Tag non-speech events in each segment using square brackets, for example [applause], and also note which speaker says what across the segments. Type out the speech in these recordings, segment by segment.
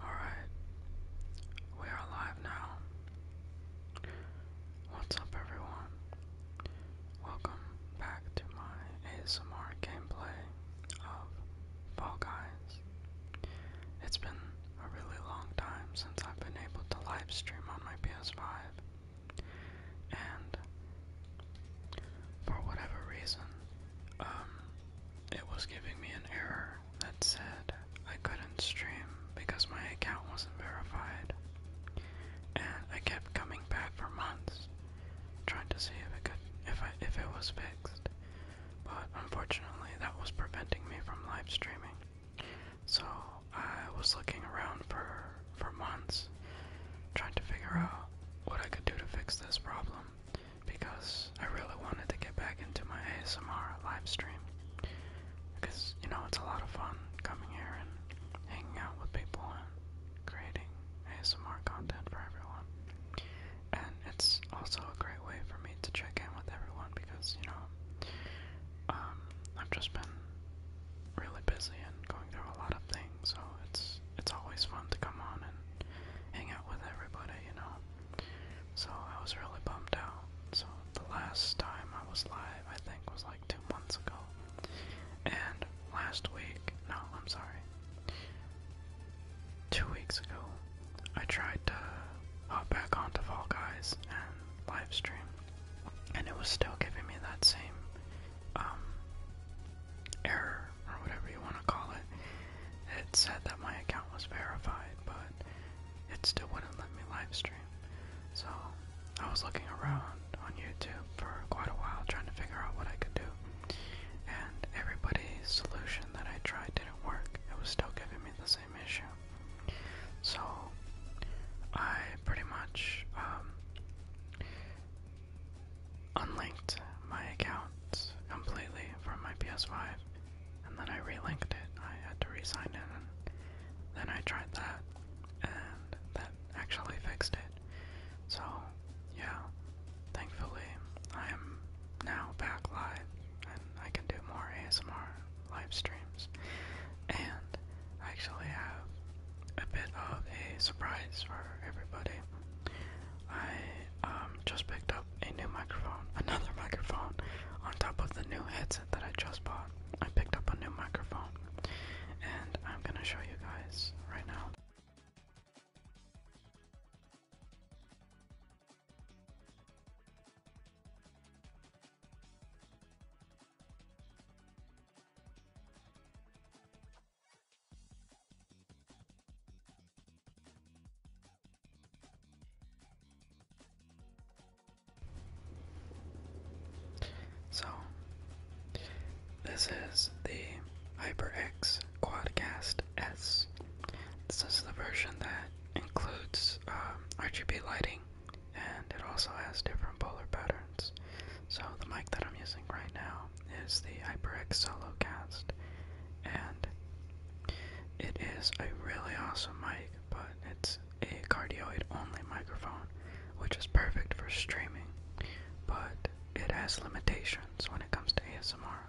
Speaker 1: Alright, we are alive now. What's up, everyone? Welcome back to my ASMR gameplay of Fall Guys. It's been a really long time since I've been able to live stream on my PS5. And for whatever reason, um, it was giving me an error that said I couldn't stream because my account wasn't verified. And I kept coming back for months, trying to see if it could, if I, if it was fixed but unfortunately that was preventing me from live streaming. So I was looking around for for months trying to figure out what I could do to fix this problem because I really wanted to get back into my ASMR live stream. Because you know it's a lot of fun coming here and hanging out with people and creating ASMR content for everyone and it's also a great way for me to check in with everyone because you know um, I've just been really busy and going through a lot of things, so it's it's always fun to come on and hang out with everybody, you know. So I was really bummed out. So the last time I was live, I think, was like two months ago, and last week, no, I'm sorry. Two weeks ago, I tried to hop back onto Fall Guys and live stream, and it was still giving me that same um, error or whatever you want to call it. It said that my account was verified, but it still wouldn't let me live stream. So I was looking around on YouTube for quite a while trying to figure out what I could do, and everybody's solution that I tried work. It was still giving me the same issue. So I pretty much um, unlinked my account completely from my PS5 and then I re-linked it. I had to re-sign in and then I tried that and that actually fixed it. So yeah, Thankfully, I am now back live and I can do more ASMR live streams. And I actually have a bit of a surprise for everybody. I um, just picked up a new microphone, [laughs] another microphone, on top of the new headset that I just bought. I picked up a new microphone and I'm gonna show you guys right now. So, this is the HyperX Quadcast S. This is the version that includes um, RGB lighting and it also has different polar patterns. So the mic that I'm using right now is the HyperX SoloCast, and it is a really awesome mic, but it's a cardioid only microphone, which is perfect for streaming, but it has limitations when it comes to ASMR.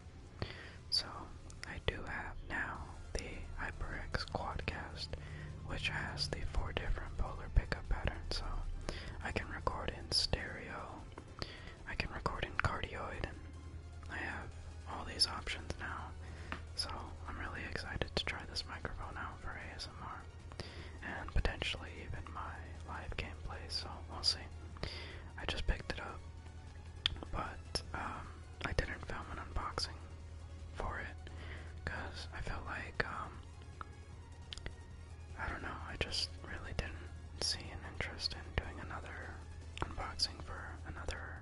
Speaker 1: So I do have now the HyperX Quadcast, which has the four different polar pickup patterns. So I can record in stereo, I can record in cardioid, I have all these options now. So I'm really excited to try this microphone out for ASMR and potentially even my live gameplay. So we'll see. I just picked it up, but um, I didn't film an unboxing for it because I felt like um, I don't know, I just really didn't see an interest in doing another unboxing for another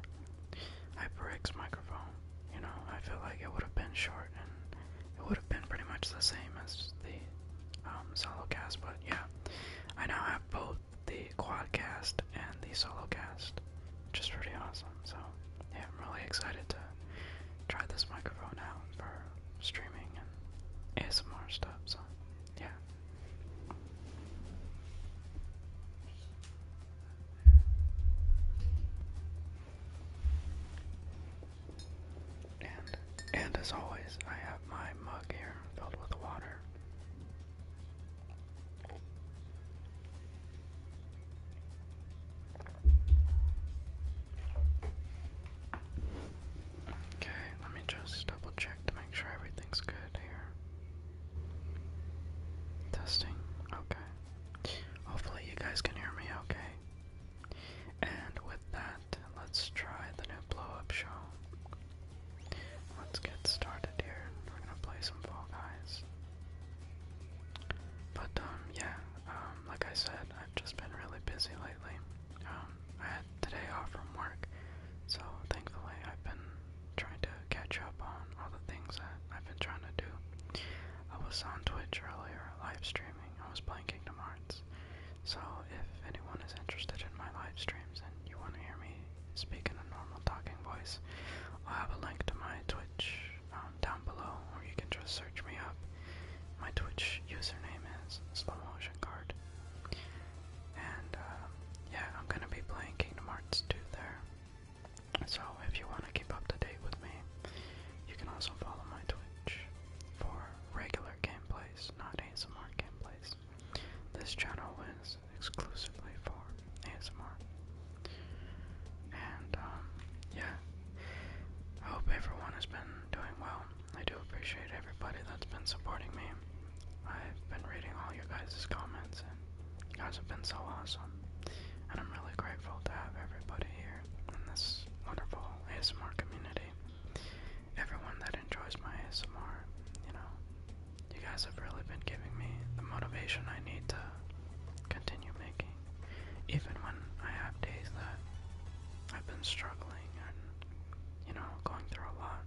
Speaker 1: HyperX microphone. You know, I feel like it would have been short and it would have been pretty much the same as the um, Solocast, but yeah, I now have both the quadcast and the solo cast, which is pretty awesome. So, yeah, I'm really excited to try this microphone out for streaming and ASMR stuff. So, yeah. And and as always, I have my mug here filled with water. Okay, let me just double check to make sure everything's good here. Testing, okay. Hopefully, you guys can hear me okay. And with that, let's try the new blow up show. Let's get started here. We're gonna play some Fall Guys. But um, yeah, um, like I said, I've just been really busy lately. Um, I had today off from work, so thankfully I've been trying to catch up on all the things that I've been trying to do. I was on Twitch earlier, live streaming. I was playing Kingdom Hearts. So if anyone is interested in my live streams and you want to hear me speak in a normal talking voice. I'll have a link to my Twitch um, down below, or you can just search me up. My Twitch username is Slow Motion Card. And uh, yeah, I'm gonna be playing Kingdom Hearts 2 there. So if you want to keep up to date with me, you can also follow my Twitch for regular gameplays, not ASMR gameplays. This channel is exclusively for ASMR. And um, yeah, I hope everyone has been doing well. I do appreciate everybody that's been supporting me. I've been reading all your guys' comments, and you guys have been so awesome. And I'm really grateful to have everybody here in this wonderful ASMR community. Everyone that enjoys my ASMR, you know, you guys have really been giving me the motivation I need to continue making, even when I have days that I've been struggling and, you know, going through a lot.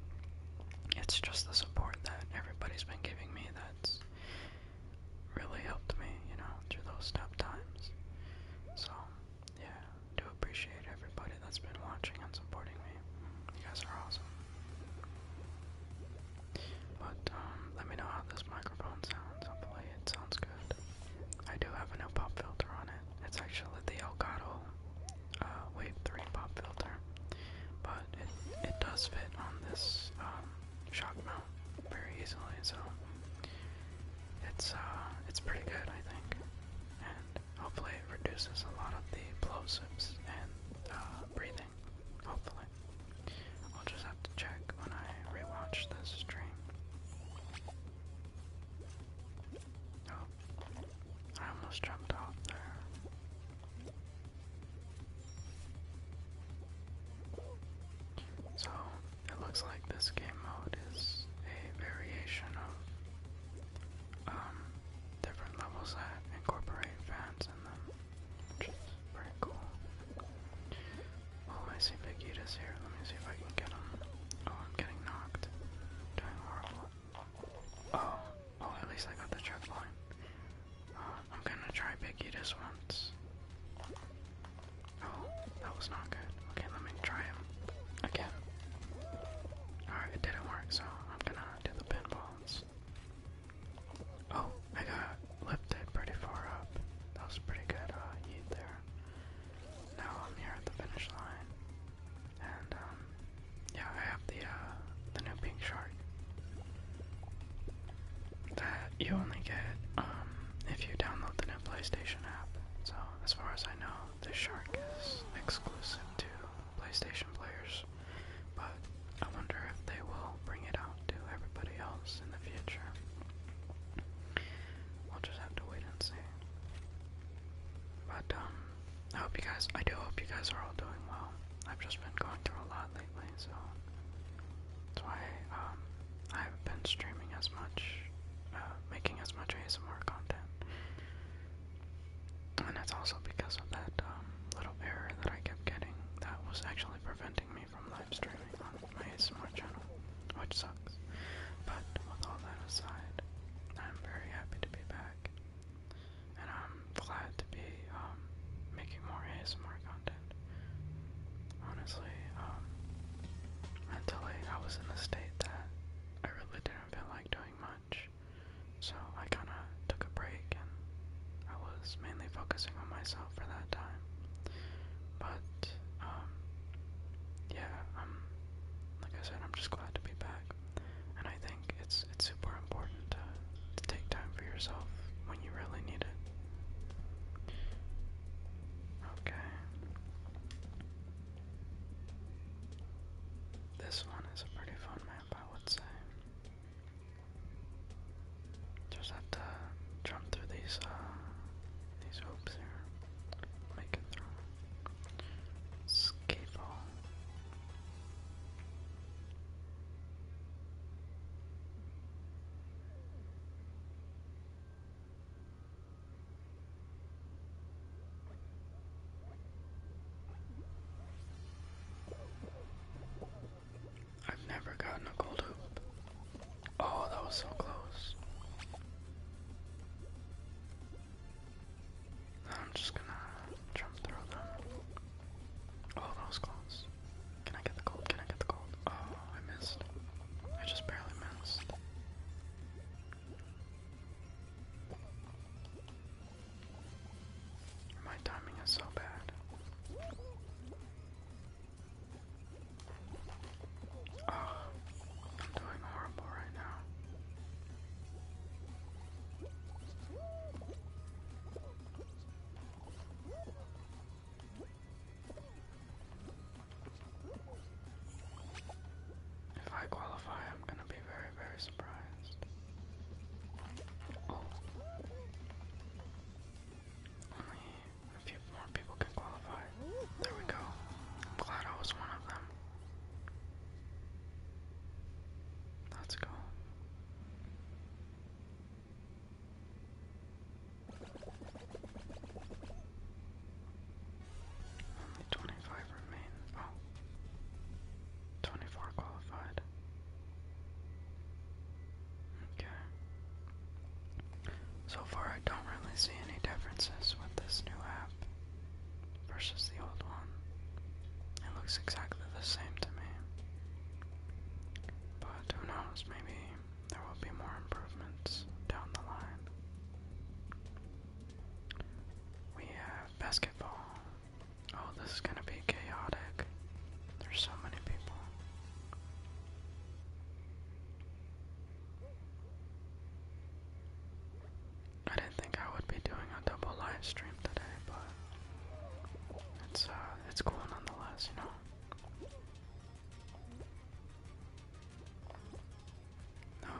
Speaker 1: It's just the support that everybody's been giving me that's really helped me, you know, through those tough times. So, yeah, I do appreciate everybody that's been watching and supporting me. You guys are awesome. But um, let me know how this microphone sounds. Hopefully, it sounds good. I do have a new pop filter on it. It's actually the Elgato uh, Wave 3 pop filter, but it it does fit on this um, shock mount very easily. So it's uh it's pretty good, I think, and hopefully it reduces a lot of the plosives and uh, breathing Hopefully. I'll just have to check when I rewatch this stream. Oh, I almost jumped off there. So, it looks like this game mode is a variation of um, different levels that incorporate fan Oh, I see Big Eatus here. Let me see if I can get him. Oh, I'm getting knocked. Doing horrible. Oh, oh, at least I got the trip line. Uh, I'm gonna try Big Eatus once. Oh, that was not good. Okay, let me try him again. Alright, it didn't work, so I'm gonna do the pinballs. Oh, I got lifted pretty far up. That was pretty good uh, heat there. Now I'm here at the finish line. And, um, yeah, I have the, uh, the new pink shark. That you only get, um, if you download the new PlayStation app. So, as far as I know, this shark is exclusive to PlayStation players, but I wonder if they will bring it out to everybody else in the future. We'll just have to wait and see. But um, I hope you guys, I do hope you guys are all doing well. I've just been going through a lot lately, so that's why um, I haven't been streaming as much, uh, making as much ASMR content. And that's also because of that um, little error that I kept getting that was actually preventing me from live streaming on my ASMR channel, which sucks. But with all that aside, I'm very happy to be back. And I'm glad to be um, making more ASMR content. Honestly, um, mentally I was in a state that I really didn't feel like doing much. So I kind of took a break and I was mainly focusing on myself for that time. But, um, yeah, like I said, I'm just glad to be back. And I think it's, it's super important to, to take time for yourself when you really need it. Okay. This one is a pretty fun map, I would say. Just have to jump through these uh, these hoops here. Make it through. Skateball. I've never gotten a gold hoop. Oh, that was so close. I'm just gonna jump through them. Oh, that was close. Can I get the gold? Can I get the gold? Oh, I missed. I just barely missed. My timing is so bad. Ah, I'm doing horrible right now. If I qualify, I'm going to be very, very surprised a few more people can qualify. There we go. I'm glad I was one of them. Let's go. Only 25 remain. Oh. 24 qualified. Okay. So far, I don't really see any differences with this new app versus the old one. It looks exactly the same to me. But who knows, maybe there will be more improvements down the line. We have basketball, Oh, this is gonna be chaotic. There's so many people. I didn't think I would be doing a double live stream today, but it's uh it's cool nonetheless, you know. No.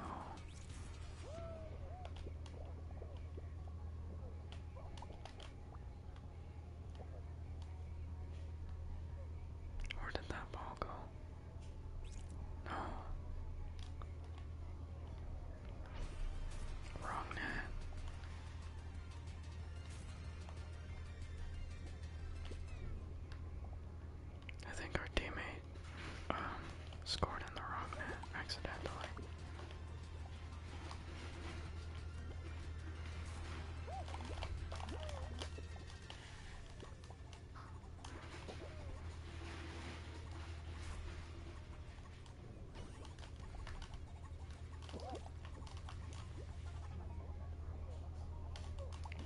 Speaker 2: Where did that ball go? No. Wrong net.
Speaker 1: I think our teammate um, scored in the wrong net accidentally.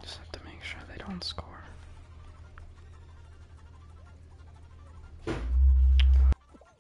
Speaker 1: Just have to make sure they don't score.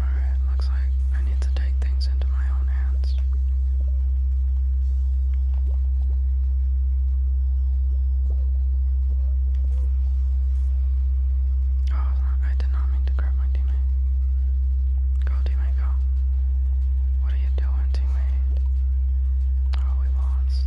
Speaker 2: Alright, looks like I need to take things into my own hands. Oh, I did not mean to grab my teammate. Go, teammate, go. What are you doing, teammate? Oh, we lost.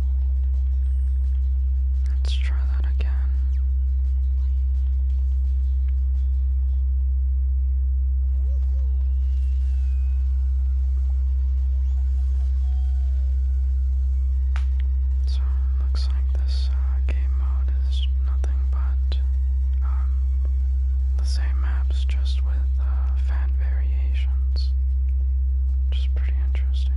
Speaker 1: Let's try that again. So looks like this uh, game mode is nothing but um, the same maps, just with uh, fan variations which is pretty interesting.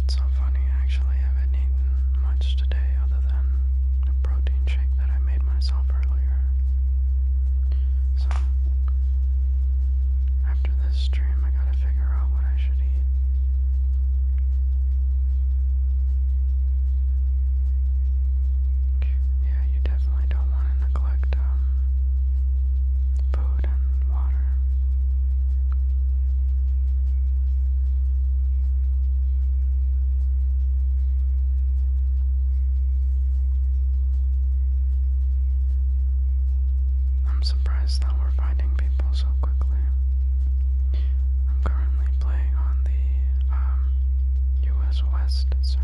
Speaker 1: It's so funny, I actually haven't eaten much today other than a protein shake that I made myself earlier. So after this stream, I gotta figure out what I should eat. Yeah, you definitely don't want to neglect um, food and water. I'm surprised that we're finding people so quickly. I'm currently playing on the US um, West server.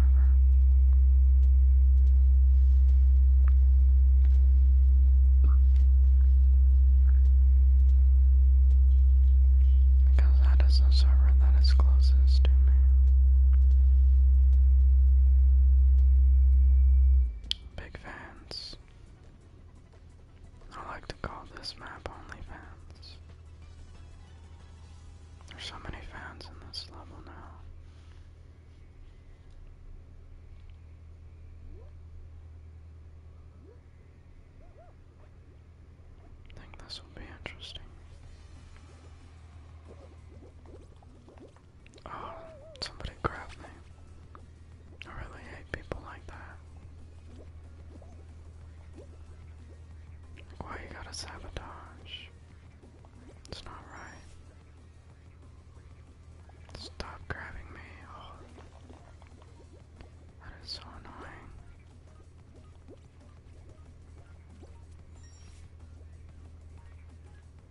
Speaker 1: Because that is the server that is closest. Big fans. I like to call this map Only Fans. There's so many fans in this level now. I think this will be interesting. Oh, somebody grabbed me. I really hate people like that. Why you gotta sabotage? It's not right. Stop grabbing me. Oh, that is so annoying.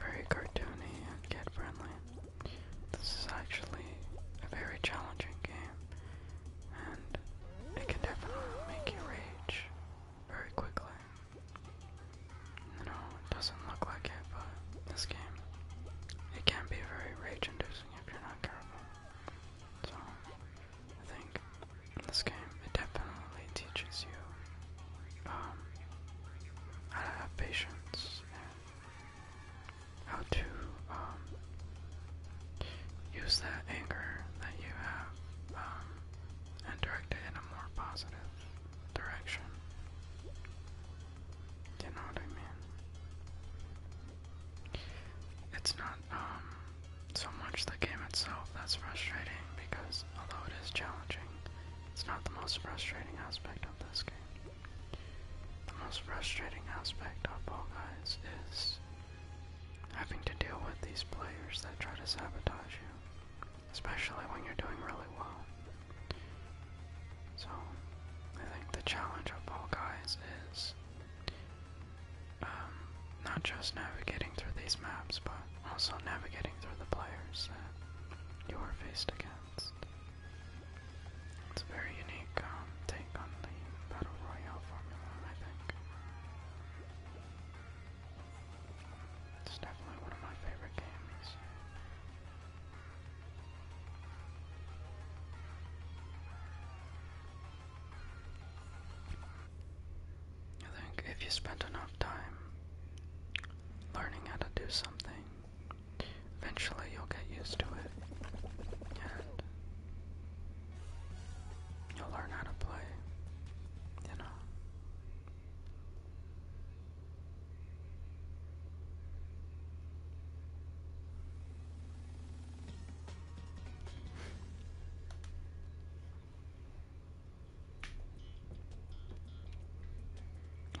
Speaker 1: very cartoony and kid friendly. This is actually a very challenging game, and it can definitely make you rage very quickly. You know, it doesn't look like it, but this game, it can be very rage inducing if you're not careful. So, I think this game, it definitely teaches you um, how to have patience and how to um, use that anger that you have um, and direct it in a more positive direction. You know what I mean? It's not um, so much the game itself that's frustrating because although it is challenging, it's not the most frustrating aspect of this game. The most frustrating aspect of Fall Guys is having to deal with these players that try to sabotage you, especially when you're doing really well. So, I think the challenge of Fall Guys is um, not just navigating through these maps, but also navigating through the players that you are faced against balanced. It's a very unique um, take on the Battle Royale formula, I think. It's definitely one of my favorite games. I think if you spend enough time learning how to do something, Eventually you'll get used to it, and you'll learn how to play, you know.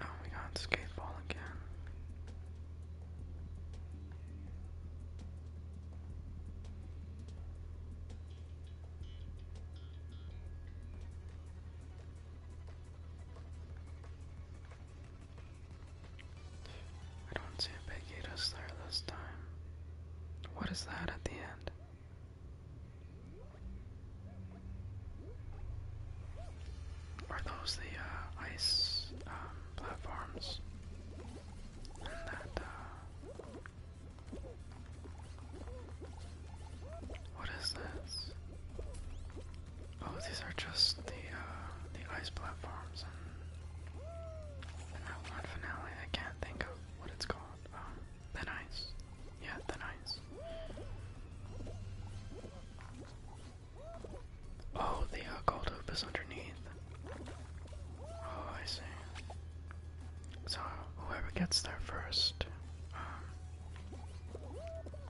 Speaker 1: Oh my god, skateball again. I don't see a big there this time. What is that at the end? Are those the uh, ice um, platforms? And that, uh, what is this? Oh, these are just the uh, the ice platforms and, that one finale I can't think of what it's called. Um, the ice. Yeah, the nice. Oh, the gold hoop is underneath. Oh, I see. So, whoever gets there first um,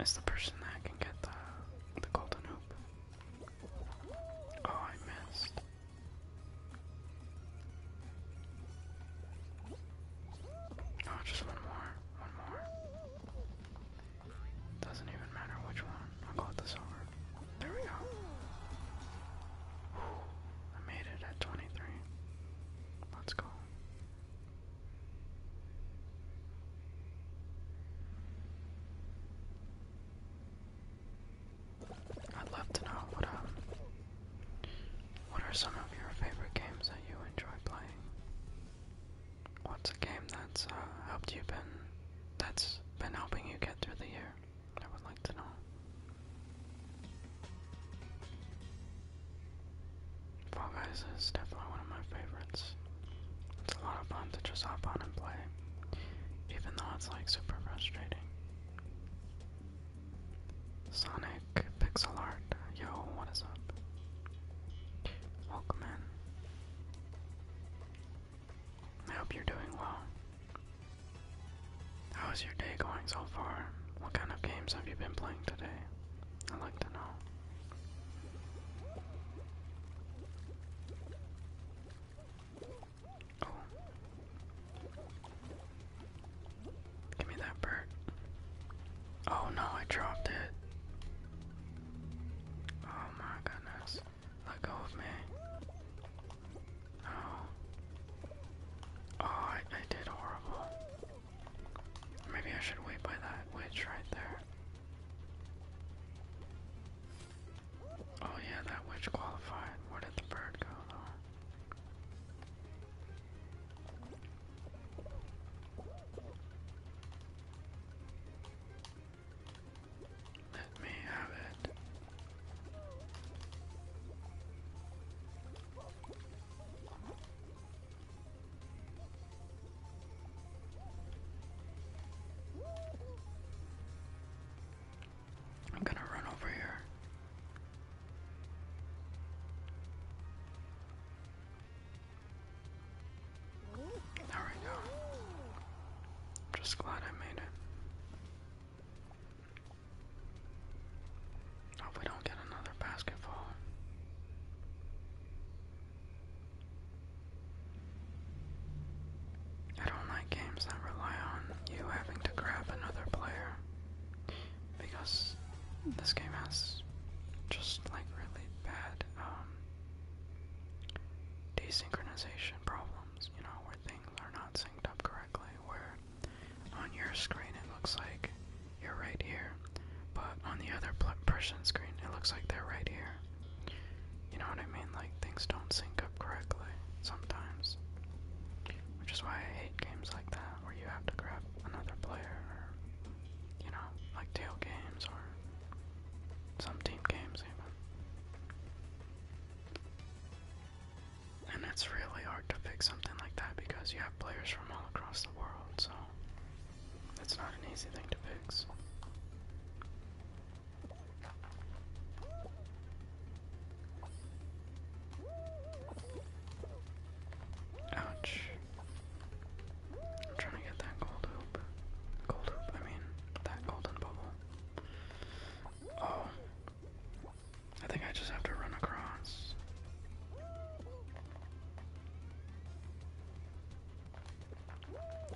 Speaker 1: is the person that can get the, the golden hoop. Oh, I missed. Oh, just one more. One more. Doesn't even matter which one. I'll go with There we go. I made it at 23. Let's go. I'd love to know what um what are some of your favorite games that you enjoy playing? What's a game that's uh, helped you been that's been helping you get through the year? I would like to know. Fall Guys is definitely one of my favorites. It's a lot of fun to just hop on and play, even though it's like super frustrating. Sonic Pixel Art. Yo, what is up? Welcome in. I hope you're doing well. How's your day going so far? What kind of games have you been playing today? I'd like to know. Oh. Give me that bird. Oh no, I dropped it. Oh my goodness. Let go of me. No. Oh, I did horrible. Maybe I should wait by that witch right there. Oh yeah, that witch qualified. Where did the bird go though? Let me have it. I'm gonna run over here. There we go. I'm just glad I made it. Hope we don't get another basketball. I don't like games that rely on you having to grab another player because this game has just like really bad um, desynchronization problems, you know, where things are not synced up correctly, where on your screen it looks like you're right here, but on the other person's screen it looks like they're right here. You know what I mean? Like things don't sync up correctly sometimes. Which is why I hate games like that, where you have to grab another player or you know, like tail games or some team games even. And it's really hard to fix something like that because you have players from all across the world, so it's not an easy thing to fix. Ouch. I'm trying to get that gold hoop. Gold hoop, I mean, that golden bubble. Oh. I think I just have to run across.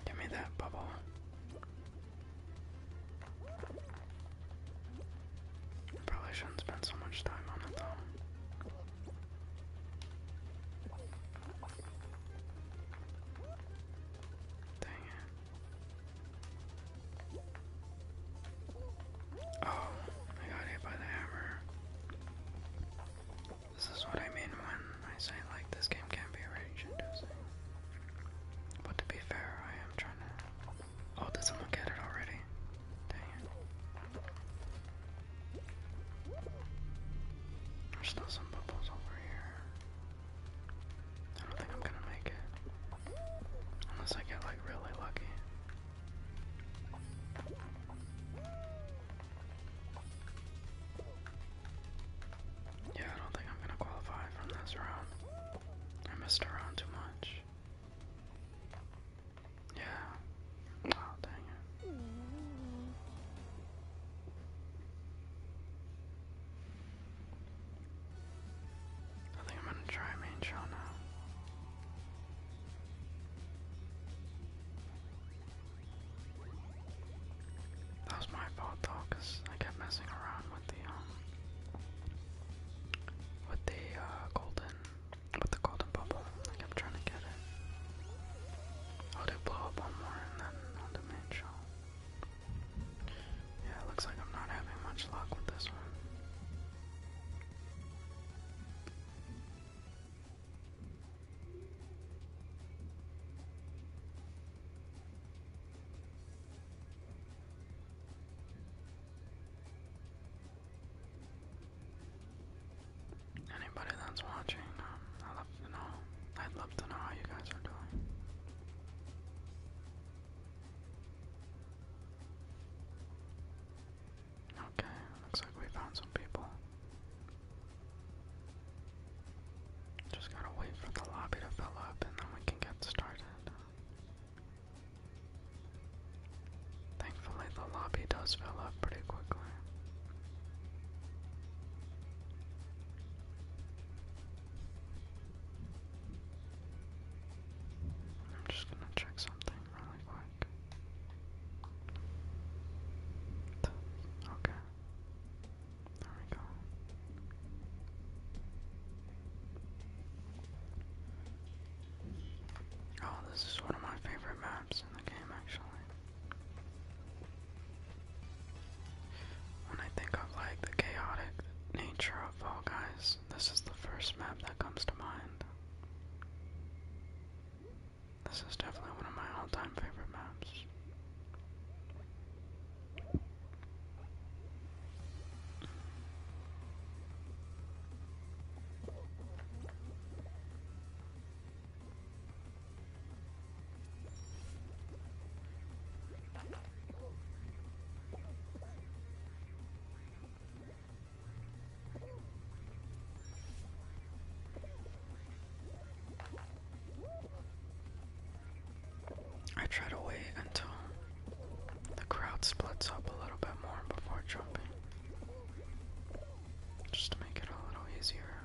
Speaker 1: Give me that bubble. Probably shouldn't spend so much time on it though. Dang it. Oh, I got hit by the hammer. This is what I mean when I say, like, this game can be rage But to be fair, I am trying to. Oh, did someone get it already? Dang it.
Speaker 2: There's still some bubbles over
Speaker 1: here. I don't think I'm gonna make it. Unless I get like really lucky. Yeah, I don't think I'm gonna qualify from this round. I messed around too much. Yeah. Oh, dang it. I think I'm gonna try main shell now. That was my fault though, I kept messing around with the um, with the uh, golden with the golden bubble. I'm trying to get it. I'll do blow up one more and then I'll main shell. Yeah, it looks like I'm not having much luck with this one. Anybody that's watching, um, I'd love to know. I'd love to know how you guys are doing. Okay, looks like we found some people. Just gotta wait for the lobby to fill up and then we can get started. Thankfully, the lobby does fill up pretty quickly. I'm just gonna check something really quick. Okay. There we go. Oh, this is one of my favorite maps in the game, actually. When I think of like the chaotic nature of Fall Guys, this is the first map that comes to mind. This is definitely one of my all-time favorite maps. I try to wait until the crowd splits up a little bit more before jumping, just to make it a little easier.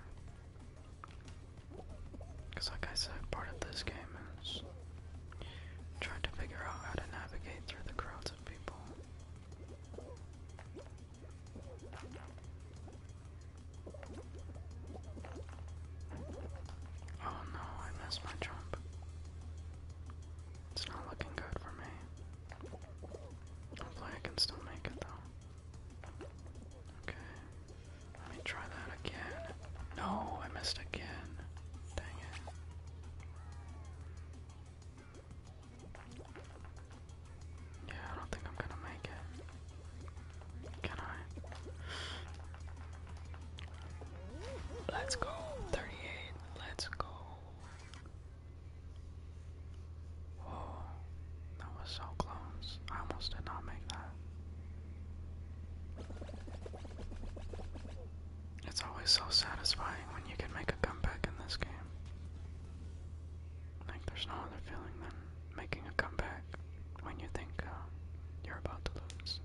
Speaker 1: Because like I said, part of this game is trying to figure out how to navigate through the crowds of people. Oh no, I missed my jump. It's not looking good for me. Hopefully I can still make it though. Okay. Let me try that again. No, I missed again. Dang it. Yeah, I don't think I'm gonna make it. Can I? Let's go. 38. Let's go. Oh, that was so close. I almost did not make that. It's always so satisfying when you can make a comeback in this game. Like, there's no other feeling than making a comeback when you think uh, you're about to lose.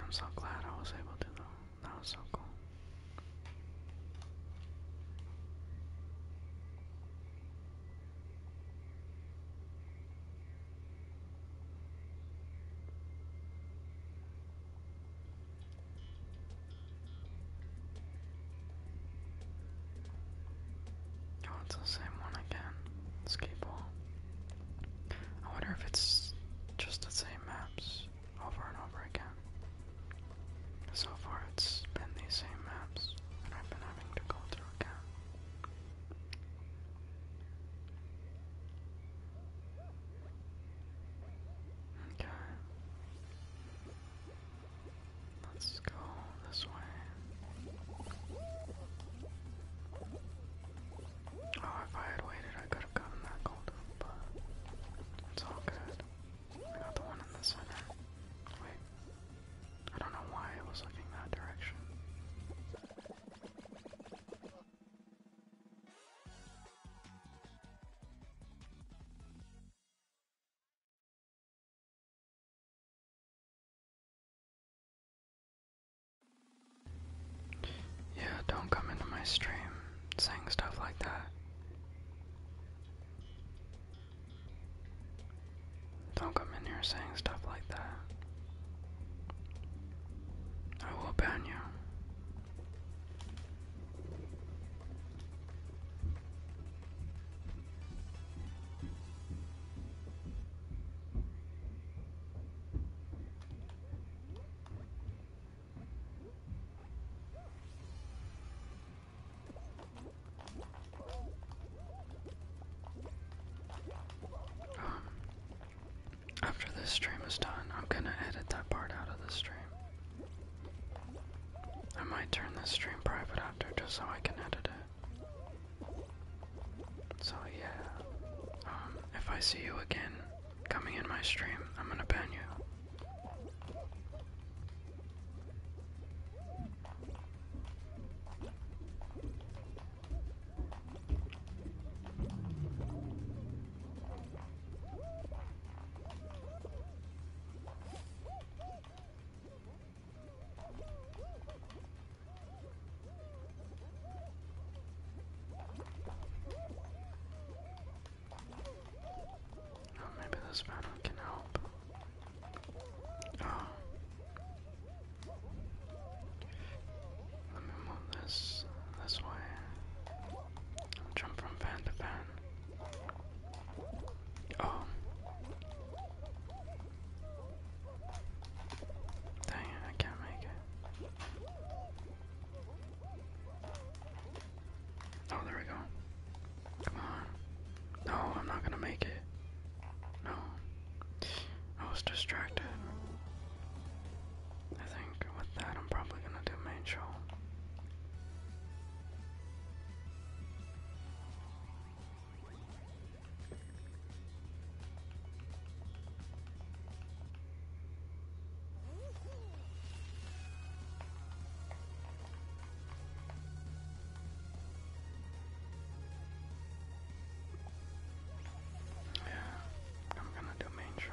Speaker 1: I'm so glad I was able to, though. That was so cool. Oh, it's the same one again. Skateball. I wonder if it's just the same maps over and over again. So far it's been these same maps, and I've been having to go through again. Okay. Let's go this way. Oh, if I had waited, I could could have that gold but it's all good. I got the one in the center. Wait. I don't know why I was looking that direction. Yeah, don't come into my stream saying stuff like that. Don't come in here saying stuff like that. I will ban you. Um, after this stream is done, I'm gonna edit that part out of the stream. I might turn this stream private after just so I can edit it. So yeah, um, if I see you again coming in my stream. I'm gonna ban you. Oh, maybe this battle can help. Oh. Let me move this this way. jump from fan to fan. Oh. Dang it, I can't make it. Oh, there we go. Come on. No, I'm not gonna make it. No. I was distracted. I think with that, I'm probably gonna do main show. Yeah, I'm gonna do main show.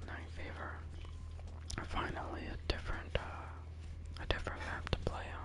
Speaker 1: I'm not in favor. Finally, a different, uh, a different map to play on.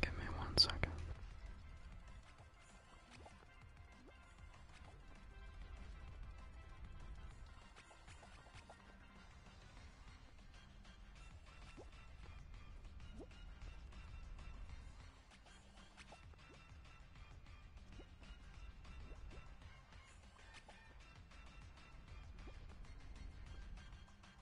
Speaker 2: Give me one second.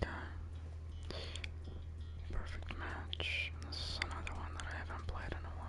Speaker 2: Okay. Perfect match. This is another one that I haven't played in a while.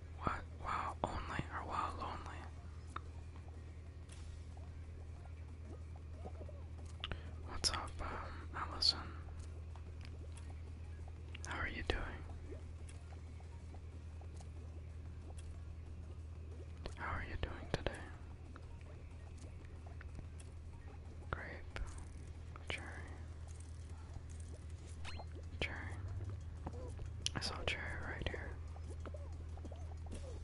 Speaker 1: what? Wow only or wow lonely? What's up, um, How are you doing? How are you doing today? Grape, cherry, Cherry. I saw cherry right here.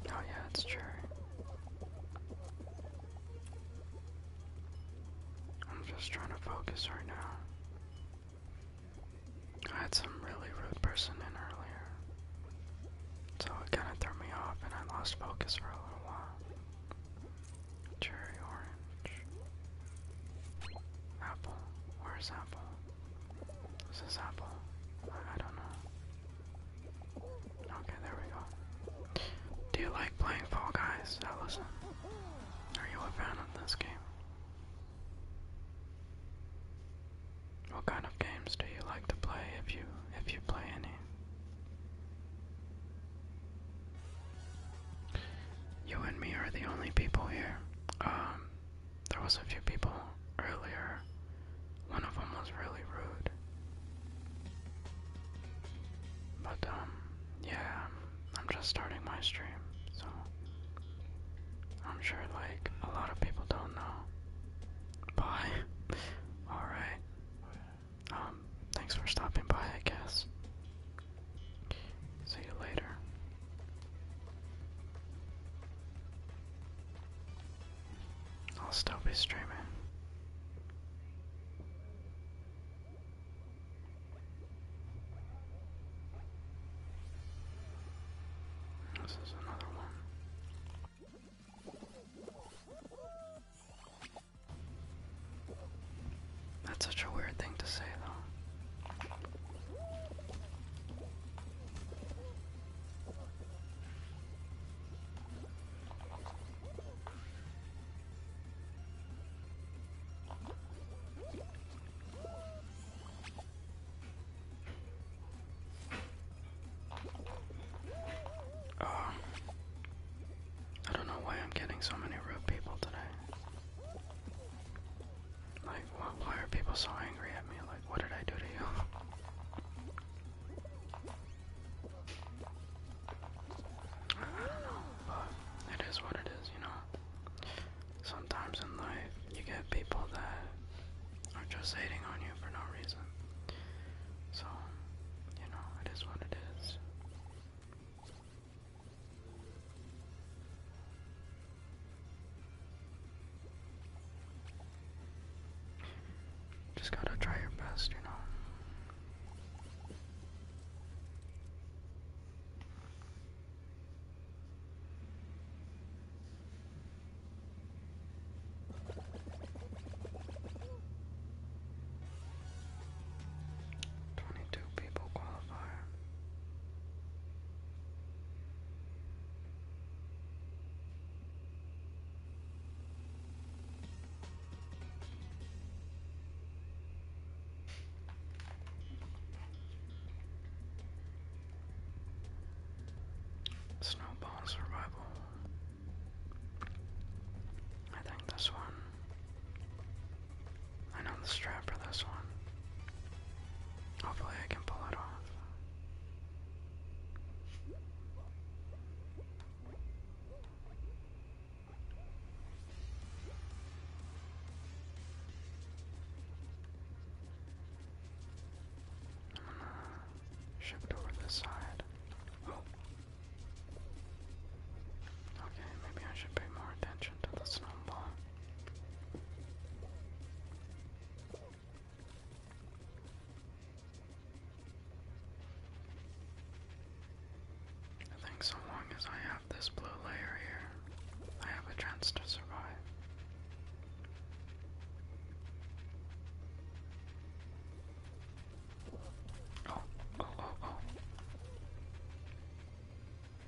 Speaker 1: Oh yeah, it's cherry. I'm just trying to focus right now. I had some really rude person in earlier. So it kinda threw me off and I lost focus for a little while. Cherry orange. Apple. Where's apple? Is this apple? I don't know. Okay, there we go. Do you like playing Fall Guys, Allison? Are you a fan of this game? What kind of games do you like to play if you if you play any? You and me are the only people here. Um, there was a few people earlier. One of them was really rude. But, um, yeah, I'm just starting my stream, so I'm sure, like, a lot of people don't know. Bye. [laughs] Alright. Um, thanks for stopping by, I guess. See you later. I'll stop be streaming. This is another one. That's such a weird thing to say, though. Uh, I don't know why I'm getting so many rude people today. Like, why are people so angry at me? Like, what did I do to you? I don't know, but it is what it is, you know? Sometimes in life, you get people that are just hating on you for no reason. So, you know, it is what it is. Just gotta try your best, you know. Twenty-two people qualify. Snowball survival. I think this one I know the strap for this one. Hopefully, I can pull it off. I'm gonna shift over this side. Oh. Okay, maybe I should pay more attention to the snowball. I think so long as I have this blue layer here, I have a chance to survive. Oh, oh, oh, oh.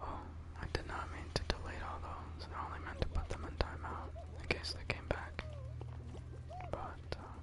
Speaker 1: Oh, I did not mean to delete all those. I only meant to put them in timeout in case they came back. But um,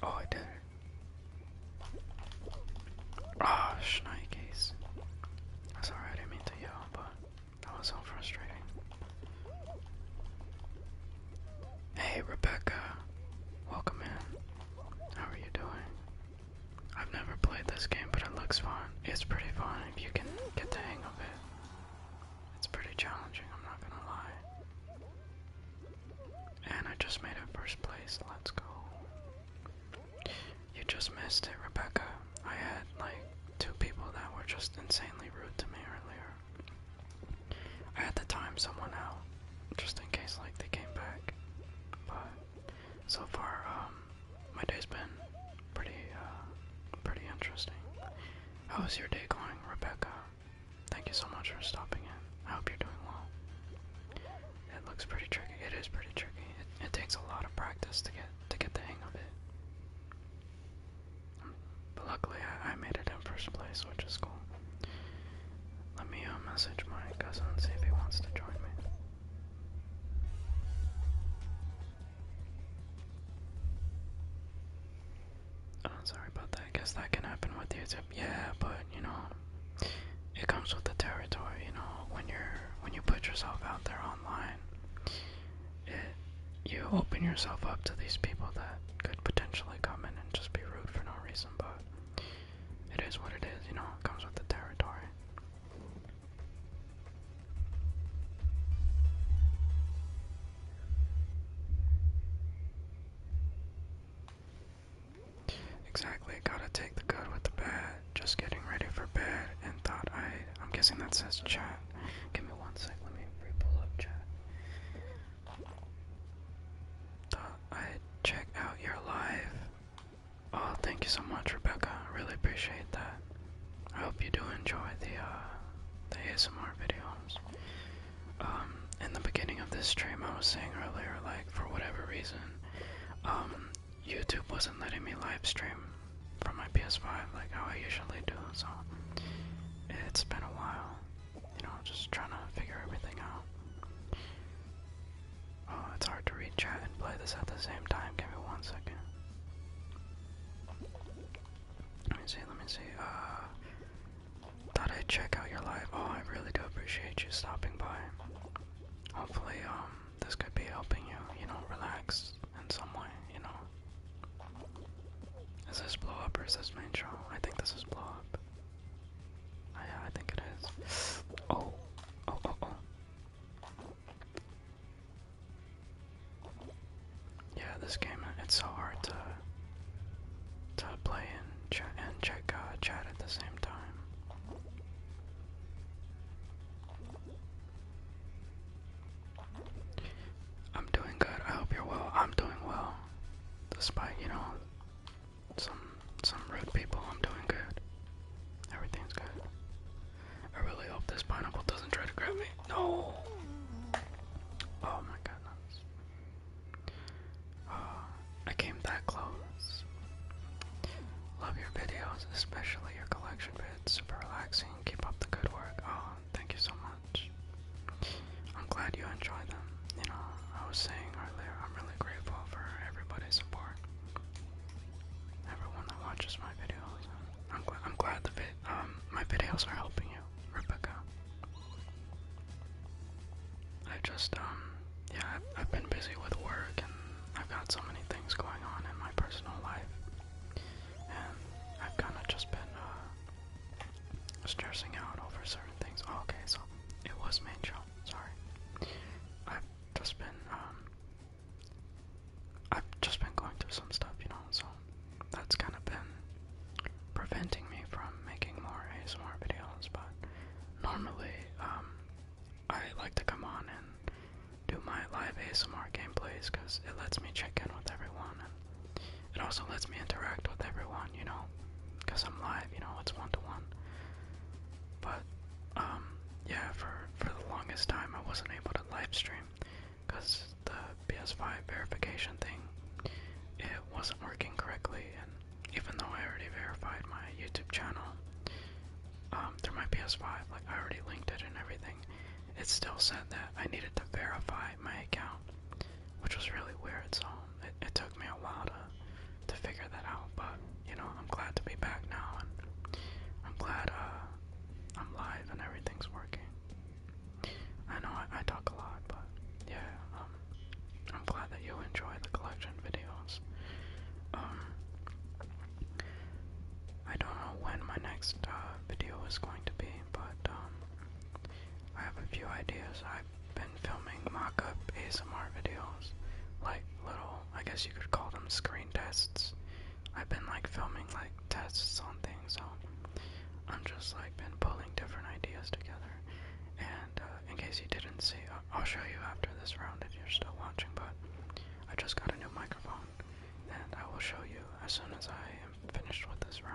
Speaker 1: Oh, I Ah, oh, That's alright, I didn't mean to yell, but that was so frustrating. Hey, Rebecca. Welcome in. How are you doing? I've never played this game, but it looks fun it's pretty fun if you can get the hang of it. It's pretty challenging, I'm not gonna lie. And I just made it first place, let's go. You just missed it, Rebecca. I had like two people that were just insanely rude to me earlier. I had to time someone out, just in case like they came back. But so far, um my day's been pretty, uh, pretty interesting. How is your day going, Rebecca? Thank you so much for stopping in. I hope you're doing well. It looks pretty tricky. It is pretty tricky. It, takes a lot of practice to get to get the hang of it. Um, but luckily, I, made it in first place, which is cool. Let me uh, message my cousin and see if he wants to join me. Oh, sorry about that. I guess that can happen with YouTube. Yeah, but you know, it comes with the territory. You know, when you're when you put yourself out there online, it you open yourself up to these people that could potentially come in and just be rude for no reason. But it is what it is. You know, it comes with the territory. Exactly, gotta take the good with the bad. Just getting ready for bed and thought I. I'm guessing that says chat. Give me one sec, let me pull up chat. Thought I'd check out your live. Oh, thank you so much, Rebecca. really appreciate that. I hope you do enjoy the uh, the ASMR videos. Um, in the beginning of this stream, I was saying earlier, like for whatever reason, um, YouTube wasn't letting me live stream from my PS5 like how I usually do. So it's been a while, you know, just trying to figure everything out. Oh, it's hard to read chat and play this at the same time. Give me one second. Let me see, let me see. Uh, thought I'd check out your live. Oh, I really do appreciate you stopping by. Hopefully, um, this could be helping you, you know, relax in some way, you know. Is this blow up or is this main show? I think this is blow up. Oh, I think it is. Oh, oh, oh, oh. Yeah, this game it's so hard to to play and chat and check uh, chat at the same time. I'm doing good. I hope you're well. I'm doing well, despite you know some some rude people. I'm doing good. Everything's good. I really hope this pineapple doesn't try to grab me. No! Oh my goodness. Ah, I came that close. Love your videos, especially your collection vids. Super relaxing. Keep up the good work. Oh, thank you so much. I'm glad you enjoy them. You know, I was saying earlier, I'm really grateful for everybody's support. Everyone that watches my videos I'm, glad the um, my videos are helping you, Rebecca. I just, um, yeah, I've, been busy with work and I've got so many things going on in my personal life. And I've kind of just been, uh, stressing out over certain things. Oh, okay, so it was main show, sorry. I've just been, um, I've just been going through some stuff, you know, so that's kind of been preventing me from making more ASMR videos. But normally, um, I like to come on and do my live ASMR gameplays because it lets me check in with everyone and it also lets me interact with everyone, you know, because I'm live, you know, it's one to one. But um, yeah, for for the longest time I wasn't able to live stream because the PS5 verification thing it wasn't working correctly, and even though I already verified my YouTube channel um, through my PS5, like I already linked it and everything, it still said that I needed to verify my account, which was really weird. So it, it took me a while to to figure that out, but you know I'm glad to be back now, and I'm glad uh, I'm live and everything's working. I know I, talk a lot, but yeah, um, I'm glad that you enjoy the collection videos. Um, I don't know when my next uh, video is going to be, but um, I have a few ideas. I've been filming mock-up ASMR videos, like little, I guess you could call them screen tests. I've been like filming like tests on things, so I'm just like been pulling different ideas together. And uh, in case you didn't see, I'll show you after this round if you're still watching. But I just got a new microphone and I will show you as soon as I am finished with this round.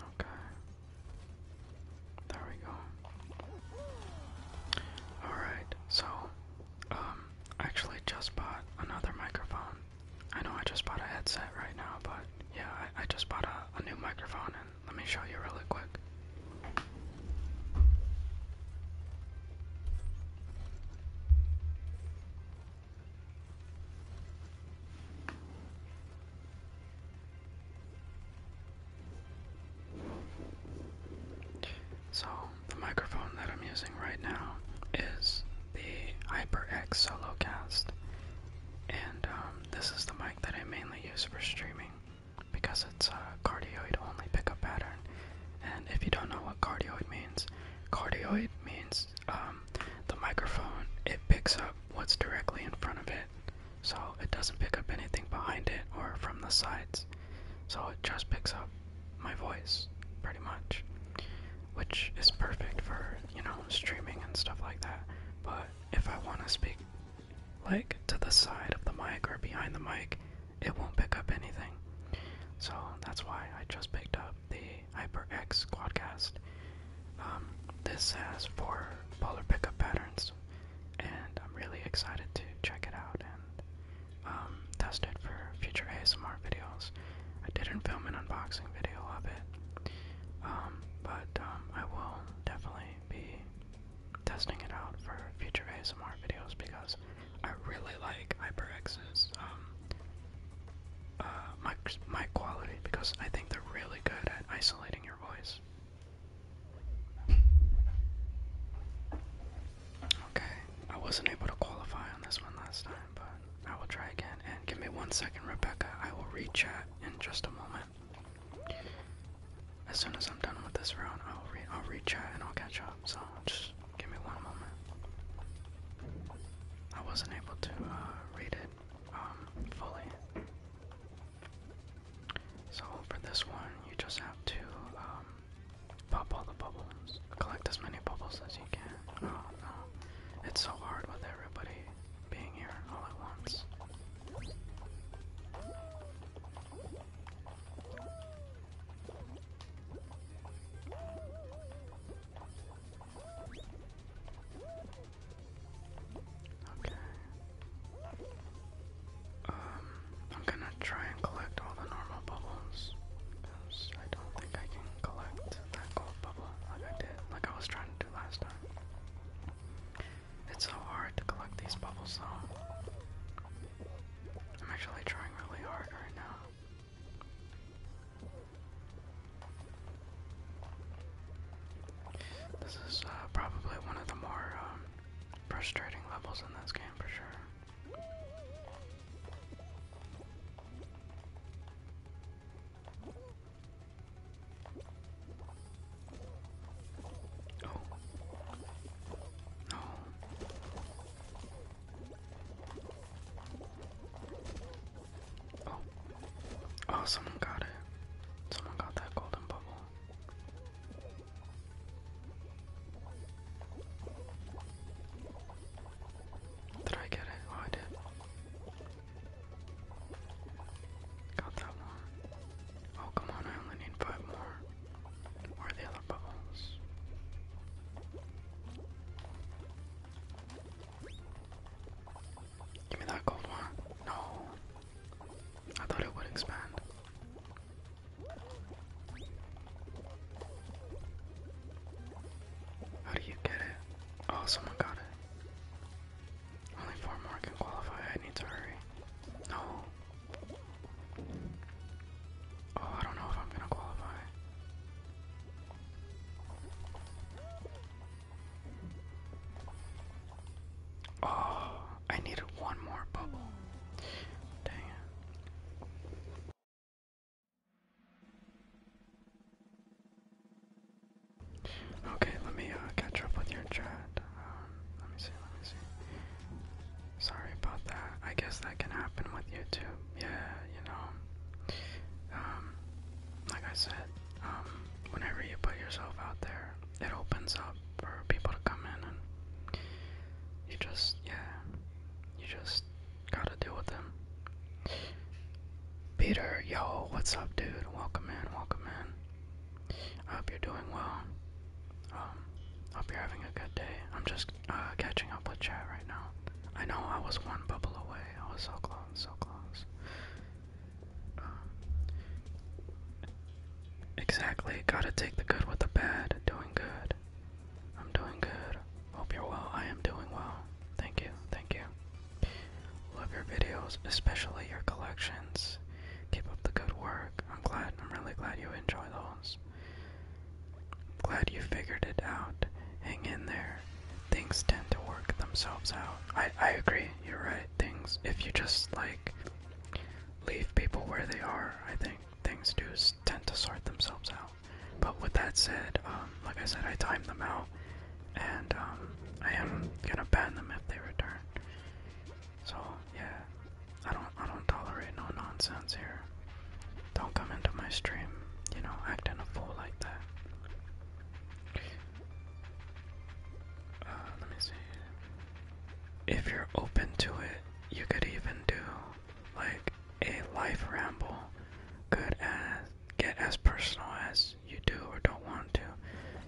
Speaker 1: Okay. There we go. Alright, so, um, I actually just bought another microphone. I know I just bought a headset right now, but yeah, I, I just bought a, a new microphone, and let me show you really quick. So, the microphone that I'm using right now is the HyperX SoloCast, and um, this is the mic that I mainly use for streaming because it's a cardioid only pickup pattern. And if you don't know cardioid means. Cardioid means um, the microphone, it picks up what's directly in front of it. So it doesn't pick up anything behind it or from the sides. So it just picks up my voice, pretty much. Which is perfect for, you know, streaming and stuff like that. But if I want to speak, like, to the side of the mic or behind the mic, it won't pick up anything. So that's why I just picked up the HyperX Quadcast. Um, this has four polar pickup patterns, and I'm really excited to check it out and um, test it for future ASMR videos. I didn't film an unboxing video of it, um, but I will definitely be testing it out for future ASMR videos because I really like HyperX's um, uh, mic, quality because I think they're really good at isolating your voice. Okay, I wasn't able to qualify on this one last time, but I will try again. And give me one second, Rebecca. I will rechat chat in just a moment. As soon as I'm done with this round, I'll read. I'll read and I'll catch up so just give me one moment. I wasn't able to uh, read it um, fully. So for this one, you just have to um, pop all the bubbles, collect as many bubbles as you can. Oh no, it's so hard with everybody being here all at once. Um, I'm gonna try and collect all the normal bubbles, because I don't think I can collect that gold bubble like I did, like I was trying to do last time. It's so hard to collect these bubbles though. I'm actually trying really hard right now. This is uh, probably one of the more um, frustrating levels in this game for sure. Oh. Oh. Oh, someone got it. Someone got that golden bubble. Did I get it? Oh, I did. Got that one. Oh, come on, I only need five more. Where are the other bubbles? Give me that gold one. No. I thought it would expand. How do you get it? Oh, someone got it. Only four more can qualify. I need to hurry. No. Oh, I don't know if I'm gonna qualify. Oh, I need one more bubble. Dang Okay, let me uh, catch up with your chat. Um, let me see, let me see. Sorry about that. I guess that can happen with YouTube yeah, you know, um, like I said, um, whenever you put yourself out there, it opens up for people to come in and you just, yeah, you just gotta deal with them. Peter, yo, what's up, dude? Welcome in, welcome in. I hope you're doing well. Um, hope you're having a good day. I'm just uh, catching up with chat right now. I know I was one bubble away. I was so close, so close. Um, exactly. Gotta take the good with the bad. Doing good. I'm doing good. Hope you're well. I am doing well. Thank you. Thank you. Love your videos, especially your collections. Keep up the good work. I'm glad. I'm really glad you enjoy those. I'm Glad you figured it out. Hang in there. Things tend to work themselves out. I, I agree, you're right. Things, if you just like leave people where they are, I think things do tend to sort themselves out. But with that said, um, like I said, I timed them out, and um, I am gonna ban them if they return. So yeah, I don't I don't tolerate no nonsense here. Don't come into my stream, you know, acting a fool like that. Uh, let me see. If you're open to it, you could even do like a life ramble. Could as get as personal as you do or don't want to.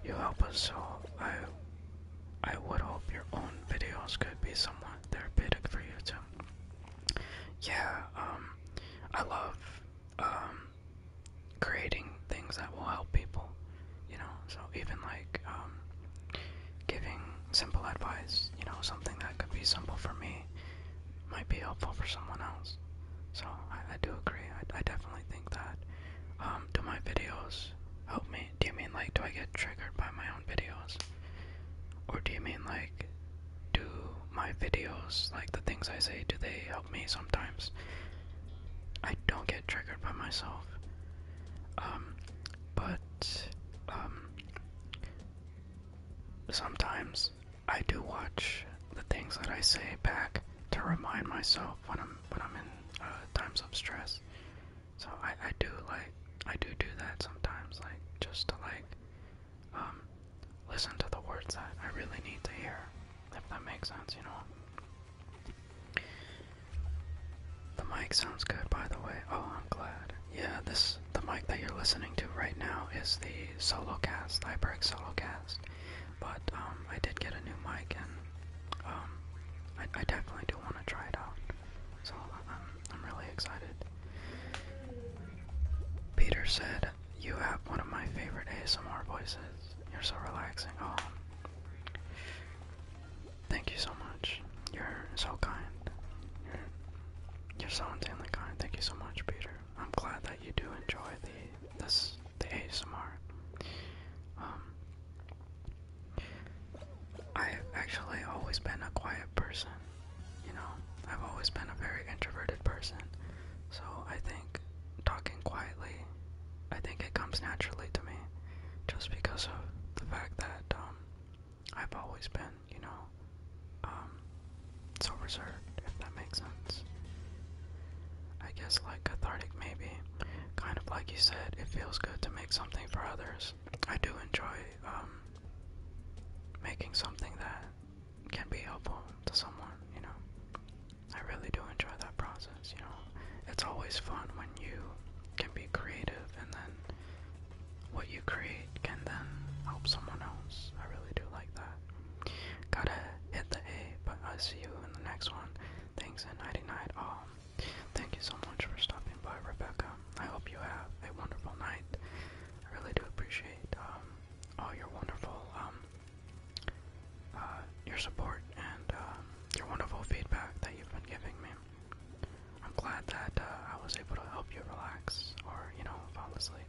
Speaker 1: You help us, so I I would hope your own videos could be somewhat therapeutic for you too yeah, um, I love um, creating things that will help people, you know. So even like um, giving simple advice, you know, something that could be simple for me might be helpful for someone else. So I, I do agree. I, I definitely think that. Um, do my videos help me? Do you mean like do I get triggered by my own videos, or do you mean like do my videos, like the things I say, do they help me sometimes? I don't get triggered by myself. Um, but, um, sometimes I do watch the things that I say back to remind myself when I'm, when I'm in uh, times of stress. So I, I do like, I do do that sometimes, like, just to like, um, listen to the words that I really need to hear, if that makes sense, you know. The mic sounds good, by the way. Oh, I'm glad. Yeah, this the mic that you're listening to right now is the Solocast, HyperX Solocast. But um, I did get a new mic, and um, I, I definitely do want to try it out. So um, I'm really excited. Peter said, You have one of my favorite ASMR voices. You're so relaxing. Oh. Thank you so much. You're so kind. You're, so insanely kind. Thank you so much, Peter. I'm glad that you do enjoy the this the ASMR. Um, I've actually always been a quiet person you know, I've always been a very introverted person, so I think talking quietly, I think it comes naturally to me, just because of the fact that um, I've always been, you know, um, so reserved, if that makes sense. I guess like cathartic, maybe, kind of like you said, it feels good to make something for others. I do enjoy um, making something that can be helpful to someone, you know. I really do enjoy that process, you know. It's always fun when you can be creative and then what you create can then help someone else. I really do like that. Gotta hit the A, but I see you in the next one. Thanks and nighty night all. Thank you so much for stopping by, Rebecca. I hope you have a wonderful night. I really do appreciate um, all your wonderful um, uh, your support and uh, your wonderful feedback that you've been giving me. I'm glad that uh, I was able to help you relax or you know fall asleep.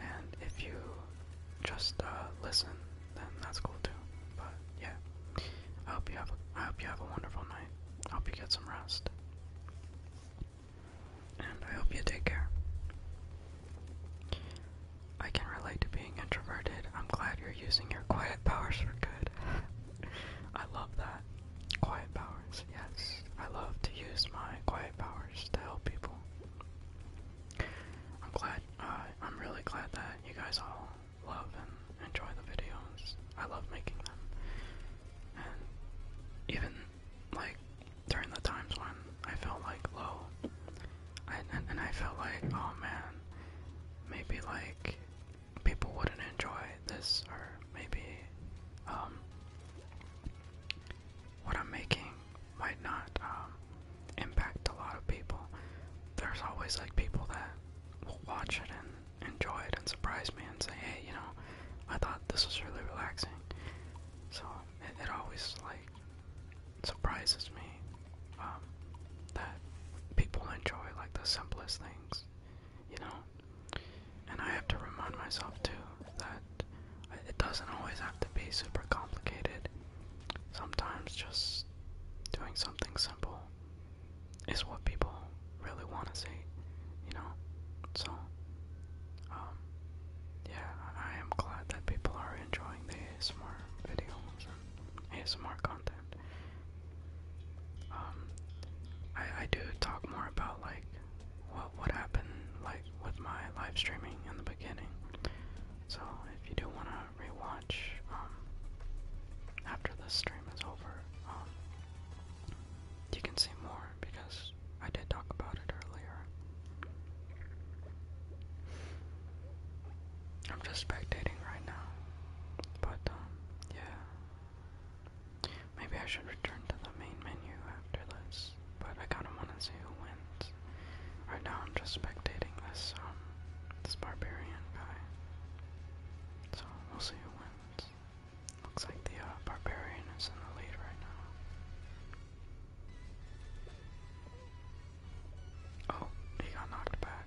Speaker 1: And if you just listen, then that's cool too. But yeah, I hope you have a, I hope you have a wonderful night. hope you get some rest and I hope you take care. I can relate to being introverted. I'm glad you're using your quiet powers for good. [laughs] I love that. Quiet powers, yes. I love to use my quiet powers to help people. I'm glad, uh, I'm really glad that you guys all love and enjoy the videos. I love making them. even like during the times when I felt like low, and, I felt like, oh man, maybe like people wouldn't enjoy this, or maybe um, what I'm making might not um, impact a lot of people. There's always like people that will watch it and enjoy it and surprise me and say, hey, you know, I thought this was really relaxing. So it, always like surprises me um, that people enjoy like the simplest things, you know. And I have to remind myself too that it doesn't always have to be super complicated. Sometimes just doing something simple is what people really want to see, you know. So um, yeah, I am glad that people are enjoying the ASMR videos and ASMR content. Um, I, do talk more about like what what happened like with my live streaming in the beginning. So if you do want to rewatch um, after the stream is over, um, you can see more because I did talk about it earlier. I'm just spectating right now. But, um, yeah. Maybe I should return to the main menu after this. But I kinda wanna see who wins. Right now I'm just spectating this, um, this barbarian guy. So, we'll see who wins. Looks like the barbarian is in the lead right now. Oh, he got knocked back.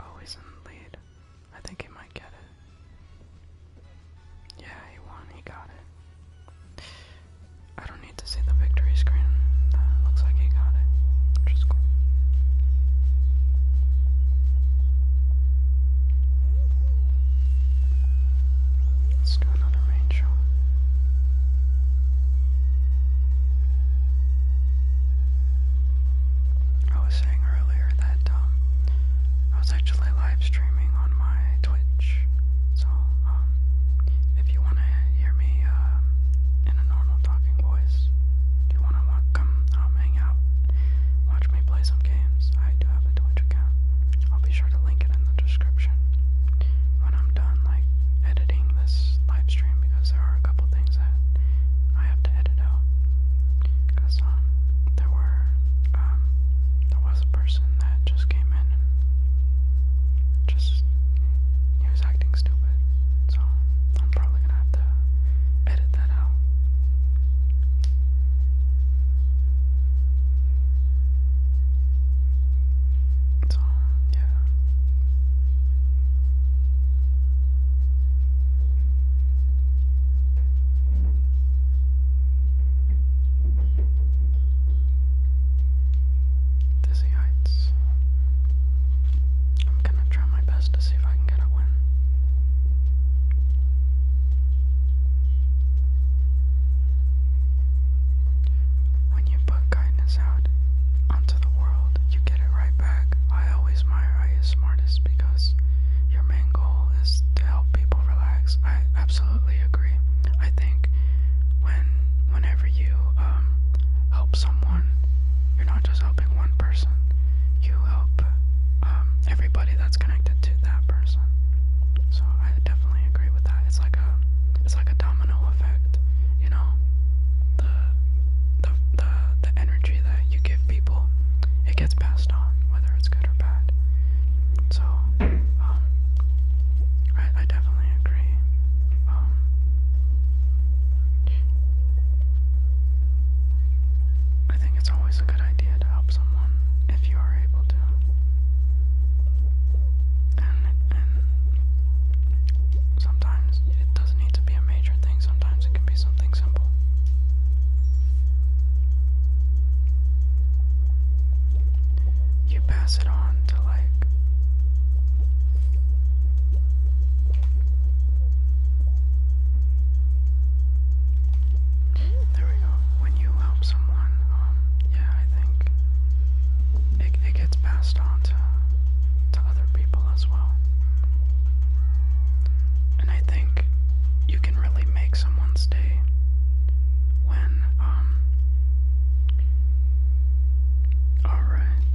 Speaker 1: Oh, in the lead. I think he might get it. Yeah, he won. He got it. I don't need to see the victory screen. Uh, looks like he got it, which cool. Let's do another range shot. I was saying earlier that um, I was actually live streaming on my Twitch, so um, if you want to hear me um, in a normal talking voice, do you want to come hang out, watch me play some games? I do have a Twitch. I'll be sure to link it in the description when I'm done, like, editing this live because there are a couple things that I have to edit out. Because, um, there were, um, there was a person that just came in just, he was acting stupid. So, I'm probably gonna have to edit that out. So, yeah. Dizzy Heights. I'm gonna try my best to see if I can get a win. When you put kindness out onto the world, you get it right back. I always admire IS Smartest because your main goal is to help people relax. I absolutely agree. I think when whenever you um, help someone, you're not just helping one person. You help um, everybody that's kind connected to that person. So I definitely agree with that. It's like a it's like a domino effect, you know? The the the the energy that you give people, it gets passed on, whether it's good or bad. So um, I definitely agree. Um, I think it's always a good idea to help someone if you are able to. And, it, and sometimes it doesn't need to be a major thing, sometimes it can be something simple. You pass it on to like there we go. When you help someone, um, yeah, I think it, it gets passed on to, to other people as well. And I think you can really make someone's day when, um, alright.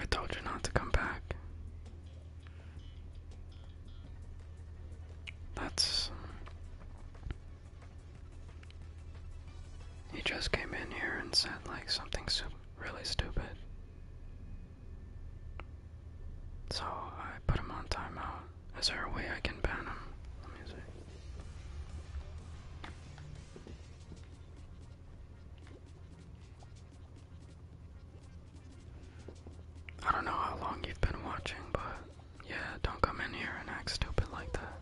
Speaker 1: I told you not to come back. That's. Um, he just came in here and said, like, something so really stupid. So I put him on timeout. Is there a way I can ban him? I don't know how long you've been watching, but yeah, don't come in here and act stupid like that.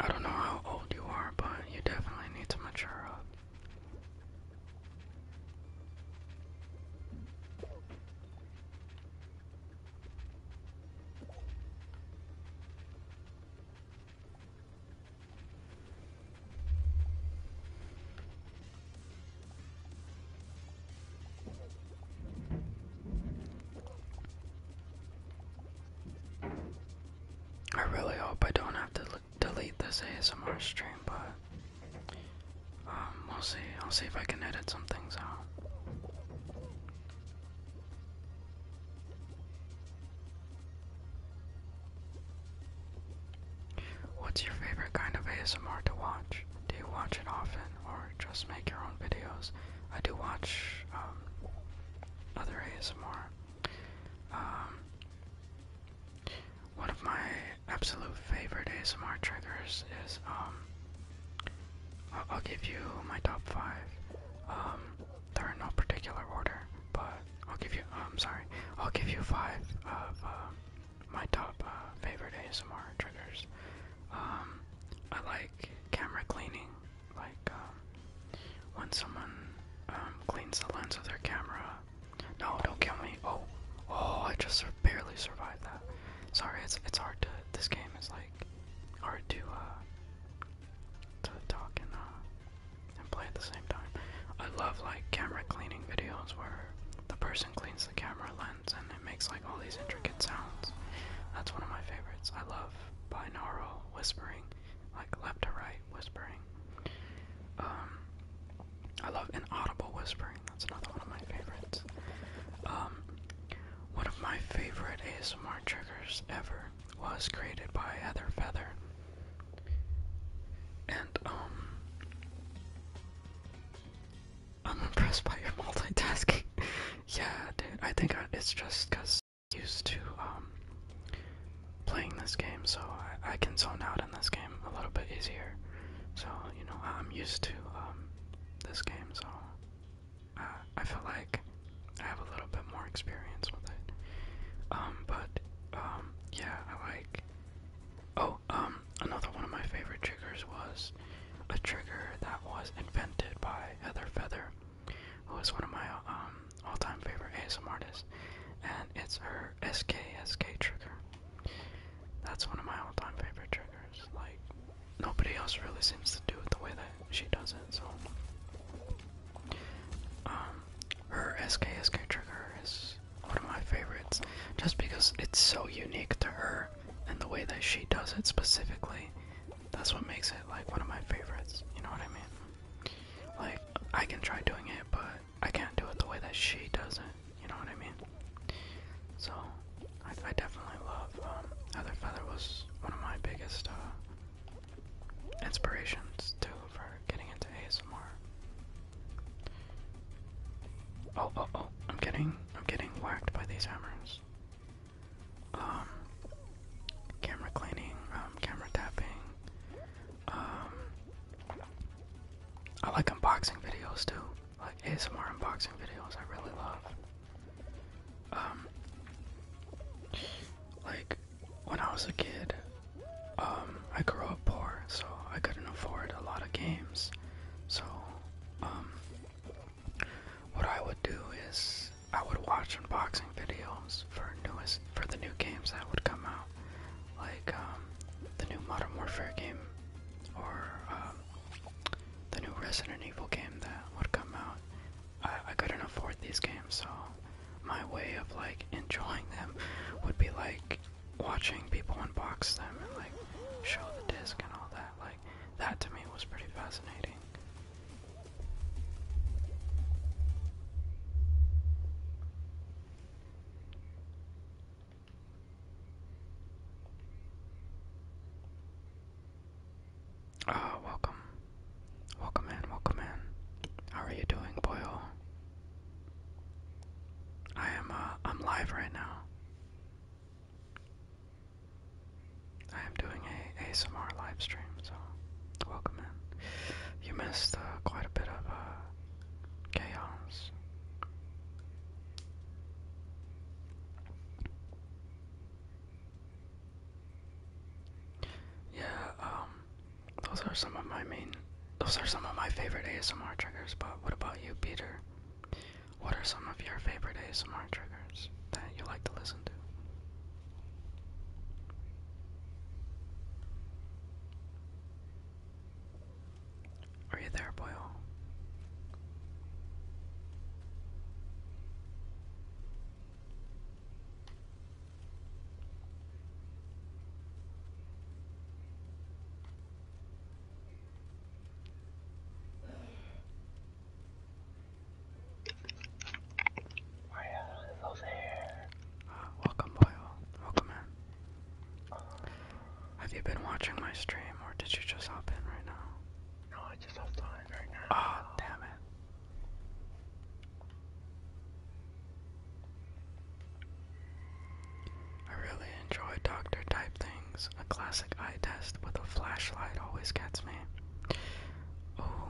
Speaker 1: I don't know how old you are, but you definitely need to mature up. I really hope I don't have to delete this ASMR stream, but um, we'll see. I'll see if I can edit some things out. What's your favorite kind of ASMR to watch? Do you watch it often or just make your own videos? I do watch um, other ASMR. Um, one of my absolute favorite ASMR triggers is um, I'll, give you my top five. Um, they're in no particular order, but I'll give you. I'm sorry. I'll give you five of um, my top uh, favorite ASMR triggers. Um, I like camera cleaning, like when someone cleans the lens of their camera. No, don't kill me. Oh, oh, I just barely survived that. Sorry, it's it's hard to. This game is like hard to uh, to talk and uh, and play at the same time. I love like camera cleaning videos where the person cleans the camera lens and it makes like all these intricate sounds. That's one of my favorites. I love binaural whispering, like left to right whispering. Um I love inaudible whispering. That's another one of my favorites. Um, one of my favorite ASMR triggers ever was created by Heather Feather. And, um, I'm impressed by your [laughs] multitasking. [laughs] yeah, dude, I think it's just because I'm used to, um, playing this game, so I, I can zone out in this game a little bit easier. So, you know, I'm used to, um, this game, so I feel like I have a little bit more experience with it. Um, but um, yeah, I like. Oh, um, another one of my favorite triggers was a trigger that was invented by Heather Feather, who is one of my all-time favorite ASMR artists, and it's her SKSK SK trigger. That's one of my all-time favorite triggers. Like nobody else really seems to do it the way that she does it, so. Um, her SK SK trigger is one of my favorites, just because it's so unique to her and the way that she does it specifically. That's what makes it like one of my favorites, you know what I mean? Like, I can try doing it, but I can't do it the way that she does it, you know what I mean? So, I, definitely love um, Heather Feather was one of my biggest uh, inspirations too for getting into ASMR. Oh oh oh! I'm getting I'm getting whacked by these hammers. Um, camera cleaning, um, camera tapping. Um, I like unboxing videos too. Like ASMR unboxing videos, I really love. Um, like when I was a kid, um, I grew up poor, so I couldn't afford a lot of games. So, um, what I would do is I would watch unboxing videos for newest for the new games that would come out, like the new Modern Warfare game or the new Resident Evil game that would come out. I, I couldn't afford these games, so my way of like enjoying them would be like watching people unbox them and like show the disc and all that. Like that to me was pretty fascinating. Ah, welcome. Welcome in, welcome in. How are you doing, boyo? I am uh I'm live right now. I am doing a ASMR live stream, so welcome in. You missed uh, quite a bit of uh chaos. Yeah, um, those are some of my main, those are some of my favorite ASMR triggers, but what about you, Peter? What are some of your favorite ASMR triggers that you like to listen to? Are you there, Boyle? Welcome, Boyle. Welcome in. Have you been watching my stream, or did you just hop in right now? Ah, oh, damn it. I really enjoy doctor type things. A classic eye test with a flashlight always gets me. Oh,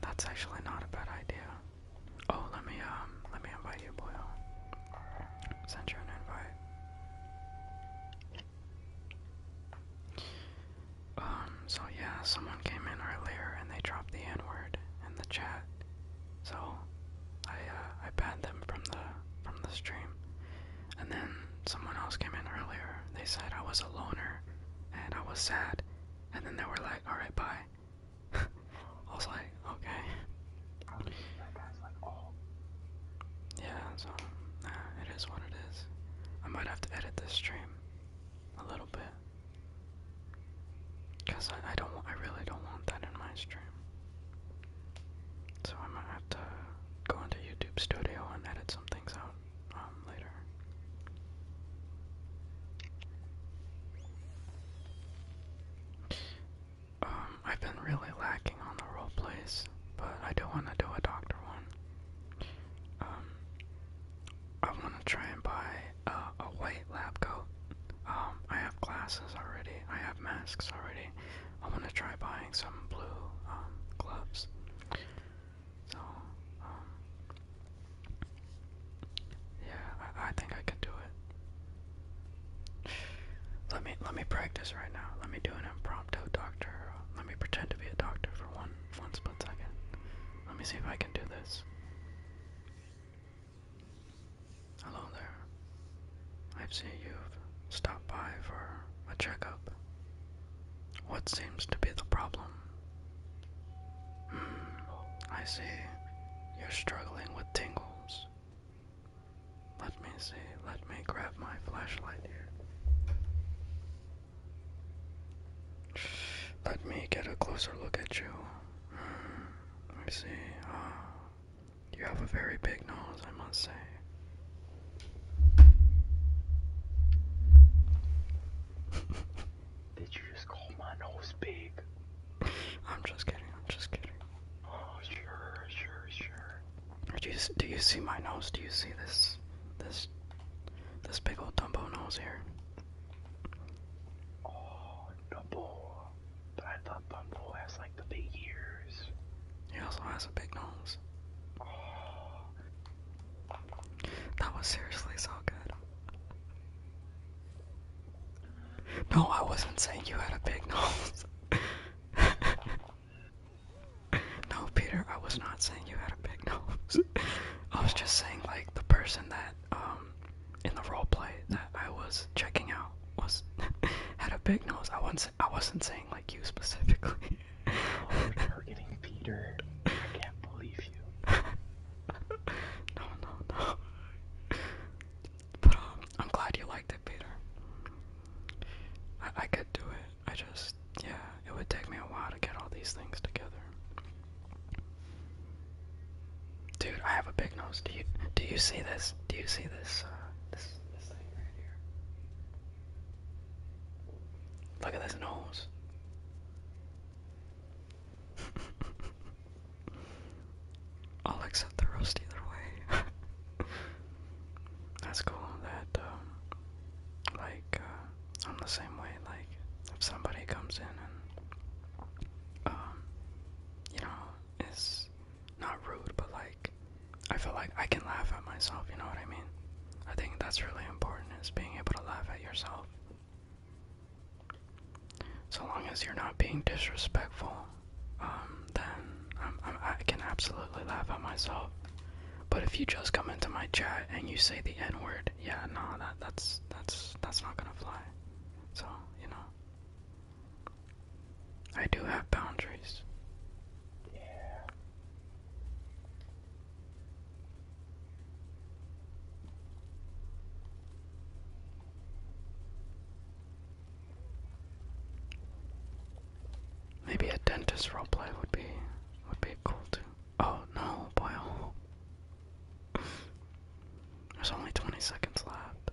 Speaker 1: that's actually not a bad idea. Oh, let me um, let me invite you, boy. Send you an invite. Um, so yeah, someone came in earlier and they dropped the N-word in the chat. So I uh, I banned them from the from the stream. And then someone else came in earlier. They said I was a loner and I was sad. And then they were like, alright, bye. [laughs] I was like, okay. Yeah, so uh, it is what it is. I might have to edit this stream a little bit. Cause I, don't I really don't want that in my stream. So I might have to go into YouTube Studio and edit some things out um, later. Um, I've been really lacking on the role plays but I do want to do a doctor one. Um, I want to try and buy a white lab coat. Um, I have glasses already. I have masks already. I want to try buying some blue um, gloves. So, yeah, I think I can do it. Let me let me practice right now. Let me do an impromptu doctor let me pretend to be a doctor for one one split second. Let me see if I can do this. Hello there. i see you've stopped by for a checkup. What seems to be the problem? Hmm, I see. You're struggling with tingles. Let me see. Let me grab my flashlight here. Let me get a closer look at you. I hmm, see. Uh, you have a very big nose, I must say. [laughs] Did you just call my nose big? [laughs] I'm just kidding. I'm just kidding. Oh, sure, sure, sure. Do you see my nose? Do you see this this this big old Dumbo nose here? Oh, Dumbo! I thought Dumbo has like the big ears. He also has a big nose. Oh. That was seriously so good. No, I wasn't saying you had a big nose. [laughs] No, Peter, I was not saying you had a big nose. I was just saying like the person that um in the role play that I was checking out was [laughs] had a big nose. I wasn't I wasn't saying like you specifically. we're oh, targeting Peter. I can't believe you. [laughs] no, no, no. But um, I'm glad you liked it, Peter. I could do it. I just, yeah, it would take me a while to get all these things together. Dude, I have a big nose. Do you do you see this? Do you see this? Uh, this this thing right here. Look at this nose. [laughs] I'll accept the roast either way. [laughs] That's cool that, um, like, uh, I'm the same way. Like, if somebody comes in and, um, you know, is not rude, but like, I feel like I can laugh at myself, you know what I mean? I think that's really important is being able to laugh at yourself. So long as you're not being disrespectful, um, then I can absolutely laugh at myself. But if you just come into my chat and you say the N word, yeah, no, that that's that's that's not gonna fly. So you know, I do have boundaries. Yeah. Maybe a dentist roleplay would be would be cool too. Oh no, boy! Oh. [laughs] There's only 20 seconds left.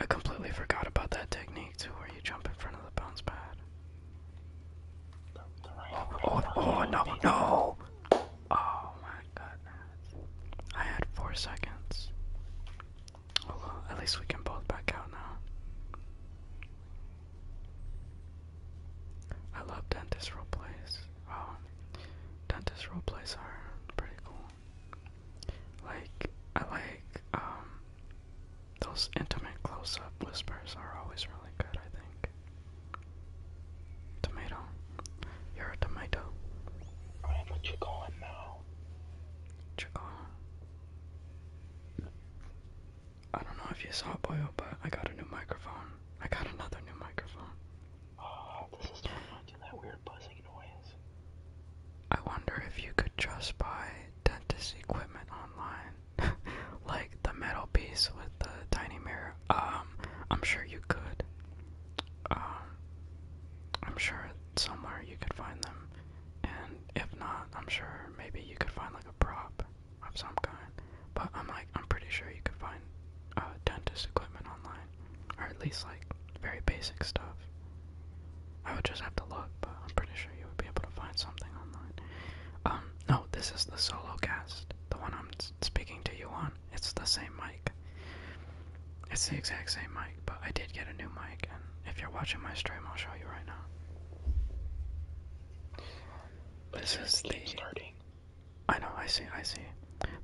Speaker 1: I completely forgot about that technique too, where you jump in front of the bounce pad. The, the right oh, oh, oh no, no! Oh my goodness! I had four seconds. Oh well, at least we can both back out now. I love dentist roleplays. Wow, oh, dentist plays are pretty cool. Like I like um those intimate close-up whispers are always really good. I think. Tomato, you're a tomato. I am a chicken now. Chicken. I don't know if you saw Boyle, but I got a new microphone. I got another new microphone. Oh, this is turning into that weird buzzing noise. I wonder if you could just buy dentist equipment online, [laughs] like the metal piece with the tiny mirror. Um, I'm sure you could. Um, I'm sure somewhere you could find them, and if not, I'm sure maybe you could find like a prop of some kind. But I'm like, I'm pretty sure you could find uh, dentist equipment online, or at least like very basic stuff. I would just have to look, but I'm pretty sure you would be able to find something online. Um, no, this is the solo cast, the one I'm speaking to you on. It's the same mic. It's the exact same mic, but I did get a new mic, if you're watching my stream, I'll show you right now. This is the starting. I know, I see, I see.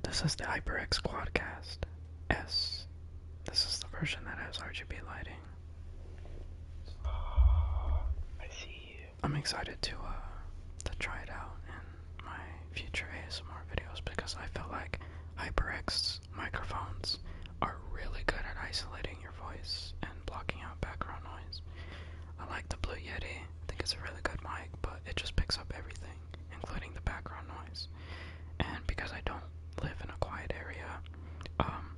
Speaker 1: This is the HyperX Quadcast S. This is the version that has RGB lighting. I see. I'm excited to uh to try it out in my future ASMR videos because I feel like HyperX microphones are really good at isolating your voice and blocking out out background noise. I like the Blue Yeti. I think it's a really good mic, but it just picks up everything, including the background noise. And because I don't live in a quiet area, um,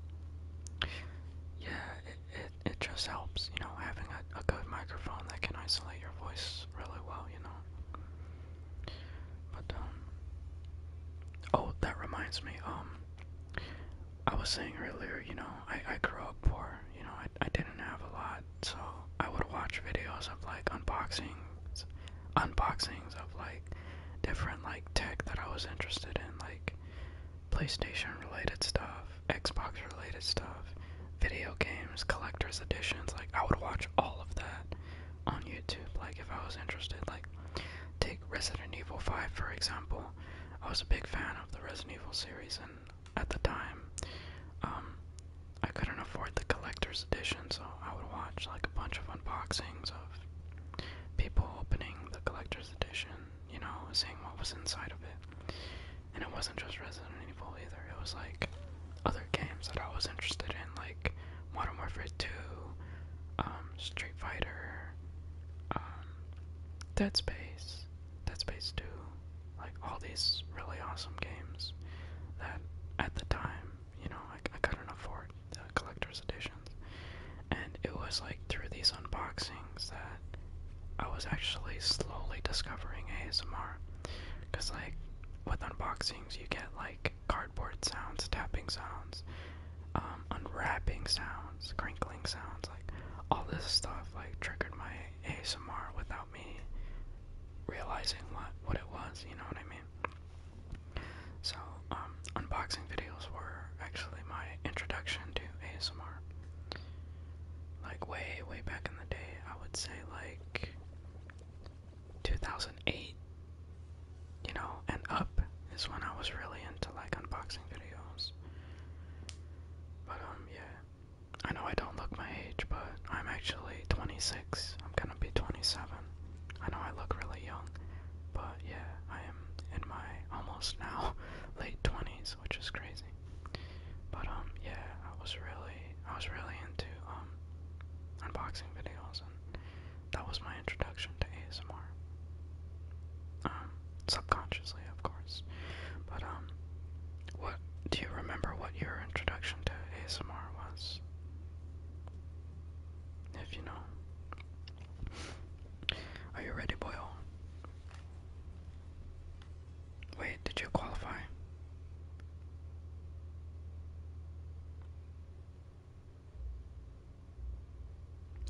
Speaker 1: yeah, it it, it just helps, you know, having a, a good microphone that can isolate your voice really well, you know. But um, oh, that reminds me, um, I was saying earlier, you know, I, I grew up poor, you know, I, I didn't have a lot, so I would watch videos of like unboxings, unboxings of like different like tech that I was interested in, like PlayStation related stuff, Xbox related stuff, video games, collector's editions, like I would watch all of that on YouTube, like if I was interested, like take Resident Evil 5 for example. I was a big fan of the Resident Evil series, and at the time, um, I couldn't afford the collector's edition, so I would watch like a bunch of unboxings of people opening the collector's edition, you know, seeing what was inside of it. And it wasn't just Resident Evil either, it was like other games that I was interested in, like Modern Warfare 2, um, Street Fighter, um, Dead Space, Dead Space 2, like all these really awesome games that at the time, you know, I, couldn't afford the collector's editions. And it was like through these unboxings that I was actually slowly discovering ASMR. Because, like, with unboxings, you get like cardboard sounds, tapping sounds, um, unwrapping sounds, crinkling sounds, like all this stuff like triggered my ASMR without me realizing what what it was, you know what I mean? So, um, unboxing videos were actually my introduction to ASMR. Like way, way back in the day, I would say like 2008, you know, and up is when I was really into like unboxing videos years. But um, yeah, I know I don't look my age, but I'm actually 26. I'm gonna be 27. I know I look really young, but yeah, I am in my almost now [laughs] late 20s, which is crazy. But um, yeah, I was really, I was really into um unboxing videos, and that was my introduction to ASMR. Uh, subconsciously, of course. But um, what do you remember? What your introduction to ASMR was, if you know? Are you ready, Boyle? Wait, did you qualify?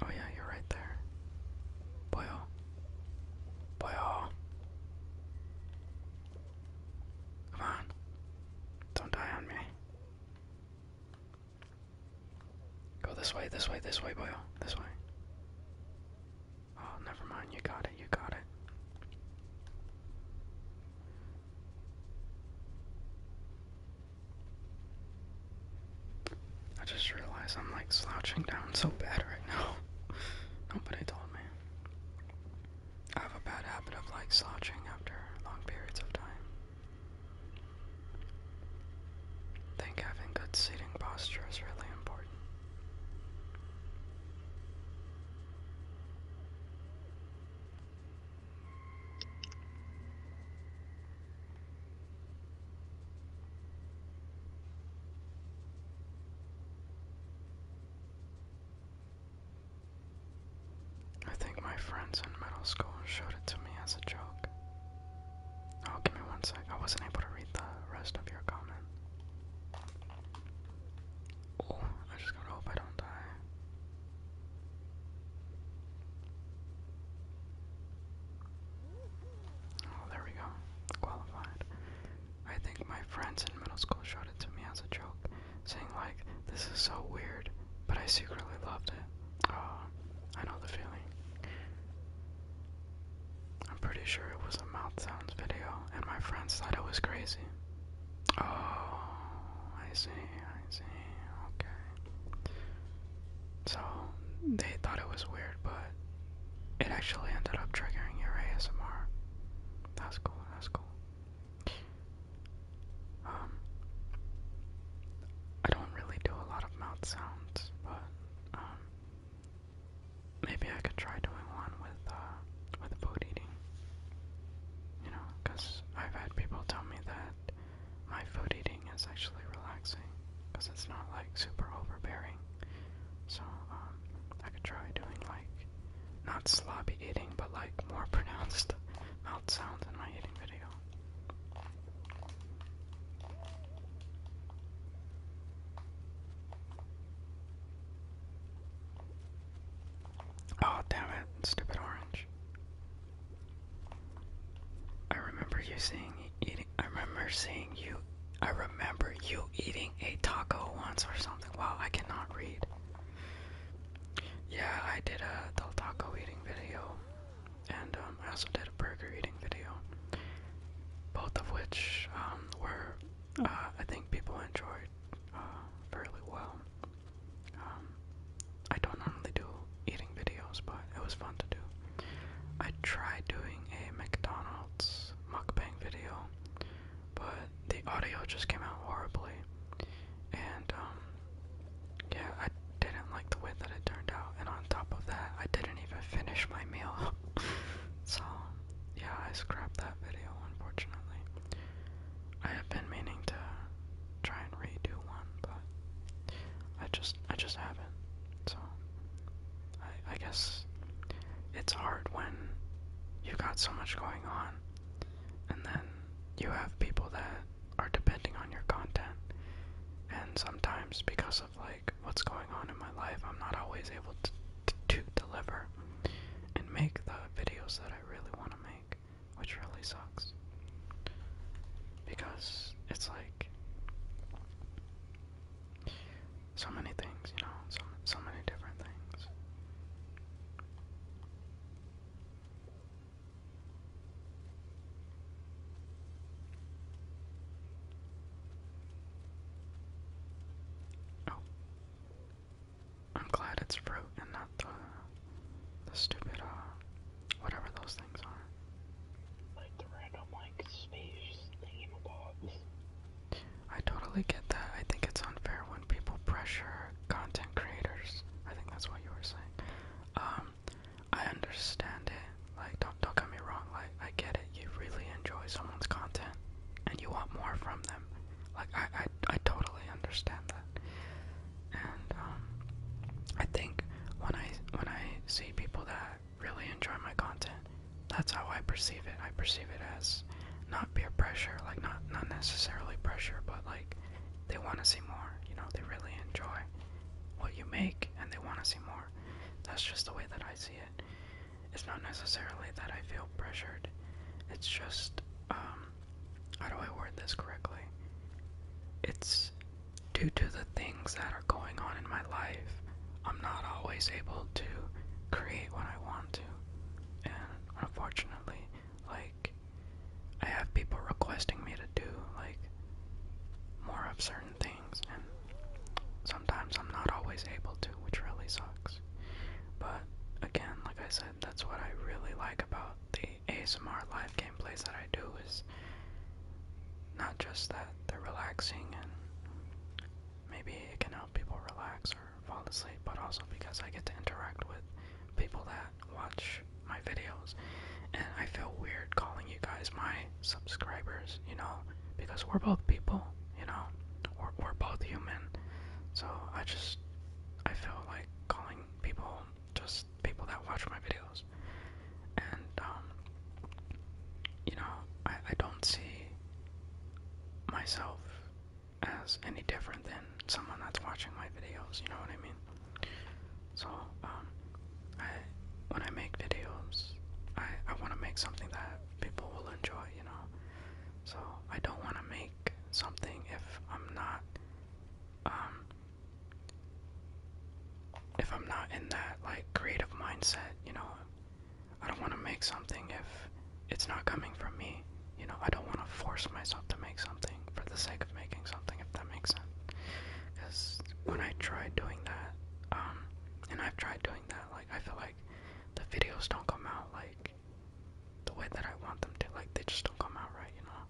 Speaker 1: Oh yeah, you're right there. Boyo. Oh. Boyo. Oh. Come on. Don't die on me. Go this way, this way, this way, Boyo. Oh. This way. Oh, never mind. You got it. You got it. I just realized I'm like slouching down so bad right now. [laughs] Nobody told me. I have a bad habit of like slouching after long periods of time. think having good seating posture is really important. I think my friends in middle school showed it to me as a joke. Oh, give me one sec. I wasn't able to read the rest of your comment. Oh, I just gotta hope I don't die. Oh, there we go. Qualified. I think my friends in middle school showed it to me as a joke, saying, like, this is so weird, but I secretly loved it. Oh, I know the feeling. I'm pretty sure it was a mouth sounds video, and my friends thought it was crazy. Oh, I see, I see. Okay, so they thought it was weird, but it actually ended up triggering your ASMR. That's cool, that's cool. Um I don't really do a lot of mouth sounds, but um maybe I could try doing one with uh with food eating. You know, cuz I've had people tell me that my food eating is actually relaxing because it's not like super overbearing. So um, I could try doing like not sloppy eating, but like more [laughs] pronounced mouth sounds in my eating video. Oh, damn it, stupid orange. I remember you seeing eating. I remember seeing you. I remember you eating a taco once or something. Wow, I cannot read. Yeah, I did a the taco eating video, and um, I also did a burger eating video. Both of which um, were, uh, I think, people enjoyed uh, fairly well. Um, I don't normally do eating videos, but it was fun to do. I tried doing a McDonald's mukbang video, but the audio just came out horribly, and um, yeah, I didn't like the way that it turned out. And on top of that, I didn't even finish my meal, [laughs] so yeah, I scrapped that video unfortunately. I have been meaning to try and redo one, but I just I just haven't. So I, guess it's hard when you've got so much going on, and then you have people that are depending on your content. And sometimes, because of like what's going on in my life, I'm not always able to deliver and make the videos that I really want to make, which really sucks. Because it's like so many things, you know, so so many different things. Oh, I'm glad it's fruit and not the the stupid uh, Whatever those things are. Like the random like space thingamabobs. I totally get that. I think it's unfair when people pressure content creators. I think that's what you were saying. Um, I understand it. Like, don't don't get me wrong. Like, I get it. You really enjoy someone's content, and you want more from them. Like, I I I totally understand that. And um, I think when I when I see people that really enjoy my content. That's how I perceive it. I perceive it as not peer pressure, like not not necessarily pressure, but like they want to see more. You know, they really enjoy what you make and they want to see more. That's just the way that I see it. It's not necessarily that I feel pressured. It's just um how do I word this correctly? It's Due to the things that are going on in my life, I'm not always able to create what I want to. And unfortunately, like, I have people requesting me to do, like, more of certain things, and sometimes I'm not always able to, which really sucks. But again, like I said, that's what I really like about the ASMR live gameplays that I do is not just that they're relaxing and maybe it can help people relax or fall asleep, but also because I get to interact with people that watch my videos. And I feel weird calling you guys my subscribers, you know, because we're both people, you know, we're, we're both human. So I just, I feel like calling people just people that watch my videos years, and um, you know, I, I don't see myself as any different than someone that's watching my videos. You know what I mean? So, um, I when I make videos, I I want to make something that people will enjoy. You know, so I don't want to make something if I'm not um if I'm not in that like creative mindset, you know, I don't want to make something if it's not coming from me. You know, I don't want to force myself to make something for the sake of making something, if that makes sense. Because when I tried doing that, um, and I've tried doing that, like, I feel like the videos don't come out like the way that I want them to. Like, they just don't come out right, you know?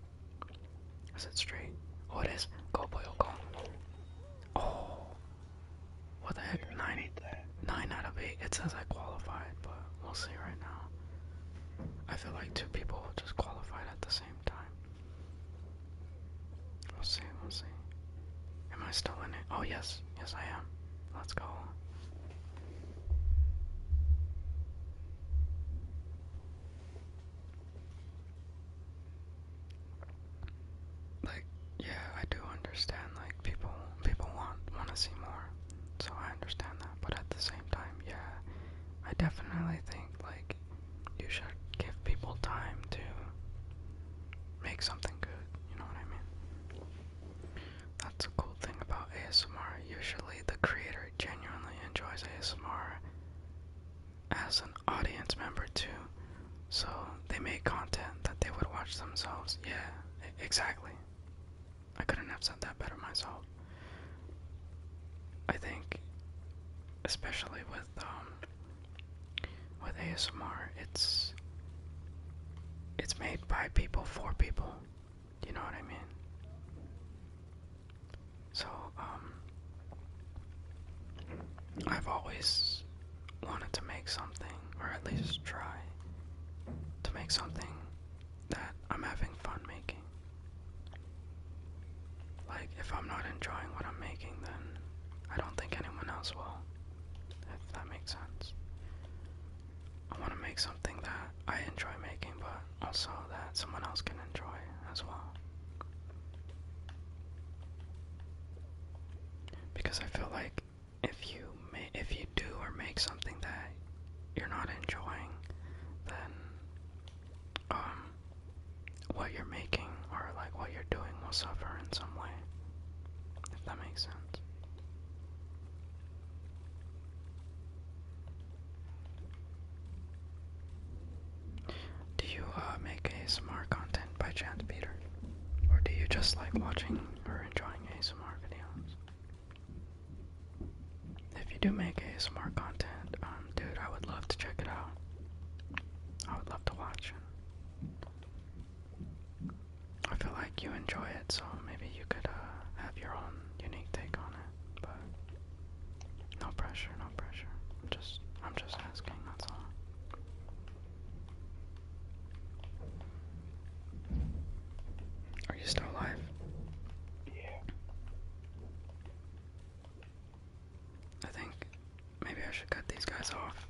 Speaker 1: Is it straight? Oh, it is. Go, boy, go. Oh, what the heck? Nine, nine out of eight. It says I qualified, but we'll see right now. I feel like two people just qualified at the same time. We'll see, we'll see. Am I still in it? Oh, yes, yes, I am. Let's go. Like, yeah, I do understand. Like, people, people want want to see more, so I understand that. But at the same time, yeah, I definitely think like you should give people time to make something good. You know what I mean? That's a cool thing about ASMR. Usually, the creator genuinely enjoys ASMR as an audience member too. So they made content that they would watch themselves. Yeah, exactly. I couldn't have said that better myself. I think, especially with um, with ASMR, it's it's made by people for people. You know what I mean? So um, I've always wanted to make something, or at least try to make something that I'm having fun making. Like, if I'm not enjoying what I'm making, then I don't think anyone else will, if that makes sense. I want to make something that I enjoy making, but also that someone else can enjoy as well because I feel like if you if you do or make something that you're not enjoying, then um, what you're making or like what you're doing will suffer in some way. If that makes sense. Do you uh, make ASMR content by chance, Peter? Or do you just like watching or enjoying ASMR videos? If you do make ASMR content, um, dude, I would love to check it out. I would love to watch it. I feel like you enjoy it, so maybe you could uh, have your own unique take on it. But no pressure, no pressure. just, I'm just asking. That's all. Are you still alive? Yeah. I think maybe I should cut these guys off.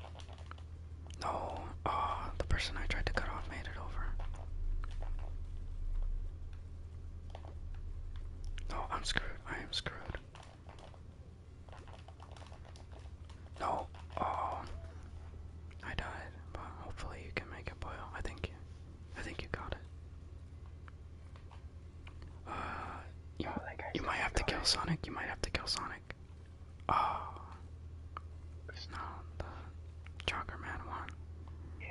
Speaker 1: No, ah, the person I tried to cut off made it over. No, I'm screwed. I am screwed. No. Oh. I died, but hopefully you can make it boil. I think you I think you got it. Uh you, oh, might have to kill Sonic, you might have to kill Sonic. Oh uh, no, the Joker Man won. Yeah,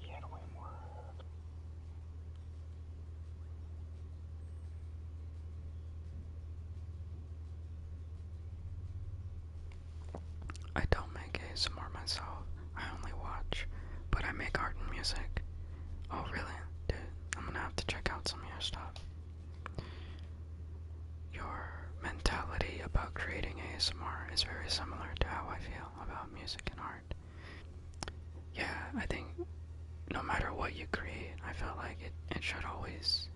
Speaker 1: he had way more I don't make ASMR myself, I only watch, but I make art and music. Oh, really? Dude, I'm gonna have to check out some of your stuff. Your mentality about creating ASMR is very similar to how I feel about music and art. Yeah, I think no matter what you create, I felt like it, it should always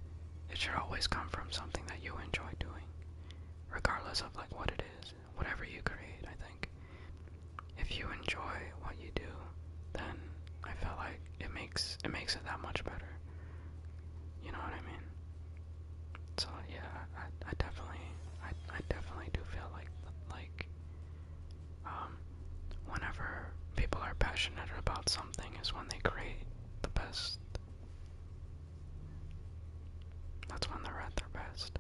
Speaker 1: it should always come from something that you enjoy doing, regardless of like what it is, whatever you create, I think. If you enjoy what you do, then I felt like it makes it makes it that much better. You know what I mean? So yeah, I, I definitely I, I definitely do feel like like um, whenever people are passionate about something, is when they create the best. That's when they're at their best.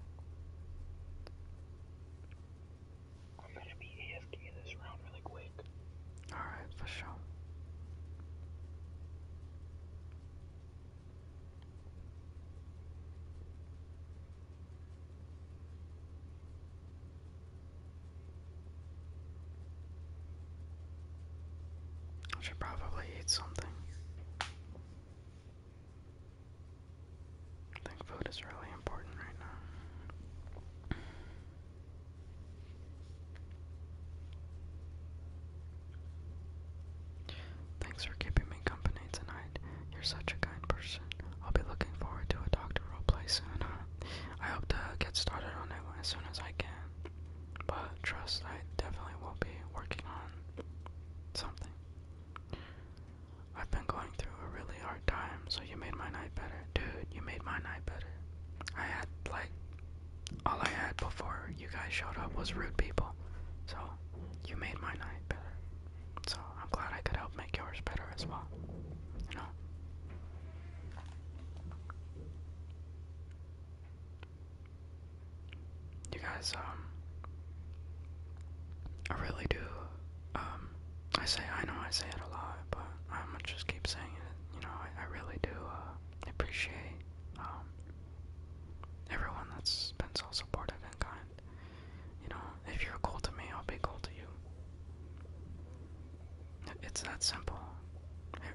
Speaker 1: I'm gonna be AFK this round really quick. Alright, for sure. I should probably eat something. I think food is really important right now. Thanks for keeping me company tonight. You're such a kind person. I'll be looking forward to a doctor role play soon, I hope to get started on it as soon as I can. But trust, I definitely will be working on something. I've been going through a really hard time, so you made my night better. Dude, you made my night better. I had, like, all I had before you guys showed up was rude people. So, you made my night better. So, I'm glad I could help make yours better as well. You know? You guys, um, I really do, um, I say, I know I say it a lot, but I'm just keep saying it, you know, I, I really do, uh, appreciate, um, everyone that's been so supportive and kind. You know, if you're cool to me, I'll be cool to you. It's that simple.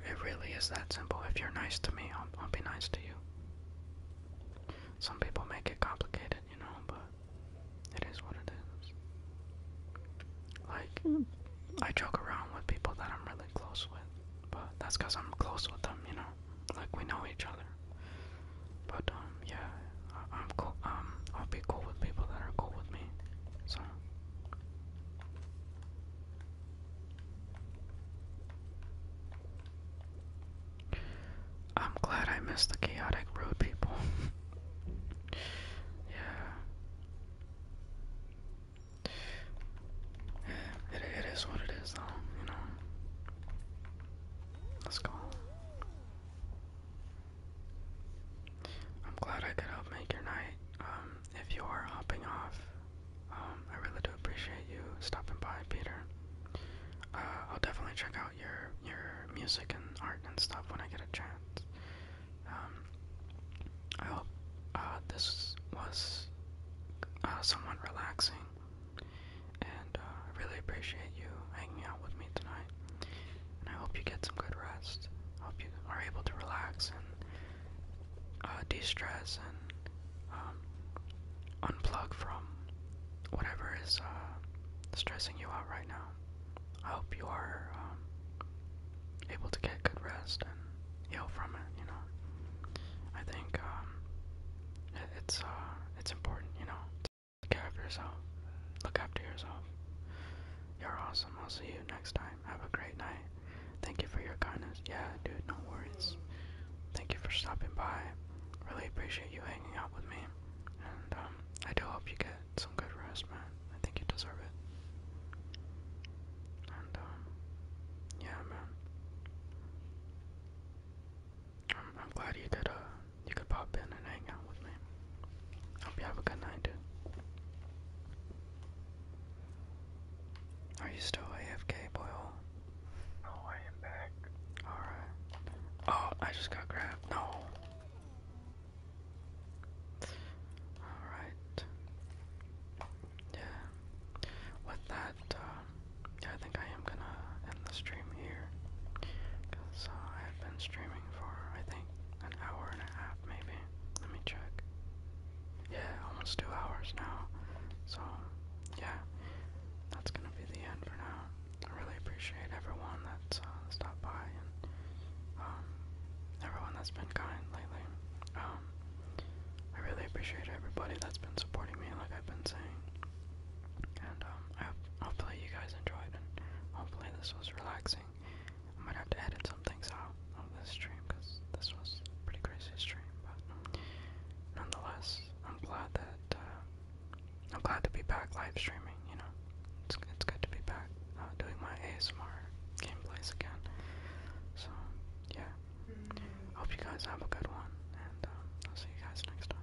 Speaker 1: It, really is that simple. If you're nice to me, I'll, be nice to you. Some people make it complicated, you know, but it is what it is. Like, hmm. I joke around with people that I'm really close with, but that's because I'm close with them, you know? Like, we know each other. But, um, yeah, I, am cool. Um, I'll be cool with people that are cool with me. So, I'm glad I missed the chaotic road people. [laughs] yeah. yeah it is what it is, though, you know. Let's go. I'm glad I could help make your night. Um, if you are hopping off, um, I really do appreciate you stopping by, Peter. Uh, I'll definitely check out your your music and art and stuff when I get a chance. Um, I hope uh, this was uh, somewhat relaxing, and uh, I really appreciate you hanging out with me tonight and I hope you get some good rest. I hope you are able to relax and uh, de-stress and um, unplug from whatever is uh, stressing you out right now. I hope you are um, able to get good rest and heal from it. You know, I think um, it's uh, it's important. You know, to take care of yourself, look after yourself, you're awesome. I'll see you next time. Have a great night. Thank you for your kindness. Yeah, dude, no worries. Thank you for stopping by. Really appreciate you hanging out with me. And um, I do hope you get some good rest, man. I think you deserve it. And um, yeah, man. I'm, glad you could uh, you could pop in and hang out with me. Hope you have a good night, dude. Are you still AFK, Boyle? No, I am back. Alright. Oh, I just got grabbed. No. Alright. Yeah. With that, um, yeah, I think I am gonna end the stream here. Because uh, I have been streaming for, I think, an hour and a half maybe. Let me check. Yeah, almost two hours now. So, yeah, that's gonna be the end for now. I really appreciate everyone that's uh, stopped by and um, everyone that's been kind lately. Um, I really appreciate everybody that's been supporting me, like I've been saying. And um, I hope hopefully you guys enjoyed, and hopefully this was relaxing thing. I might have to edit some things out of this stream because this was pretty crazy stream, but nonetheless, I'm glad that uh, I'm glad to be back live streaming. You know, it's it's good to be back uh, doing my ASMR gameplays again. So yeah, mm-hmm. hope you guys have a good one, and um, I'll see you guys next time.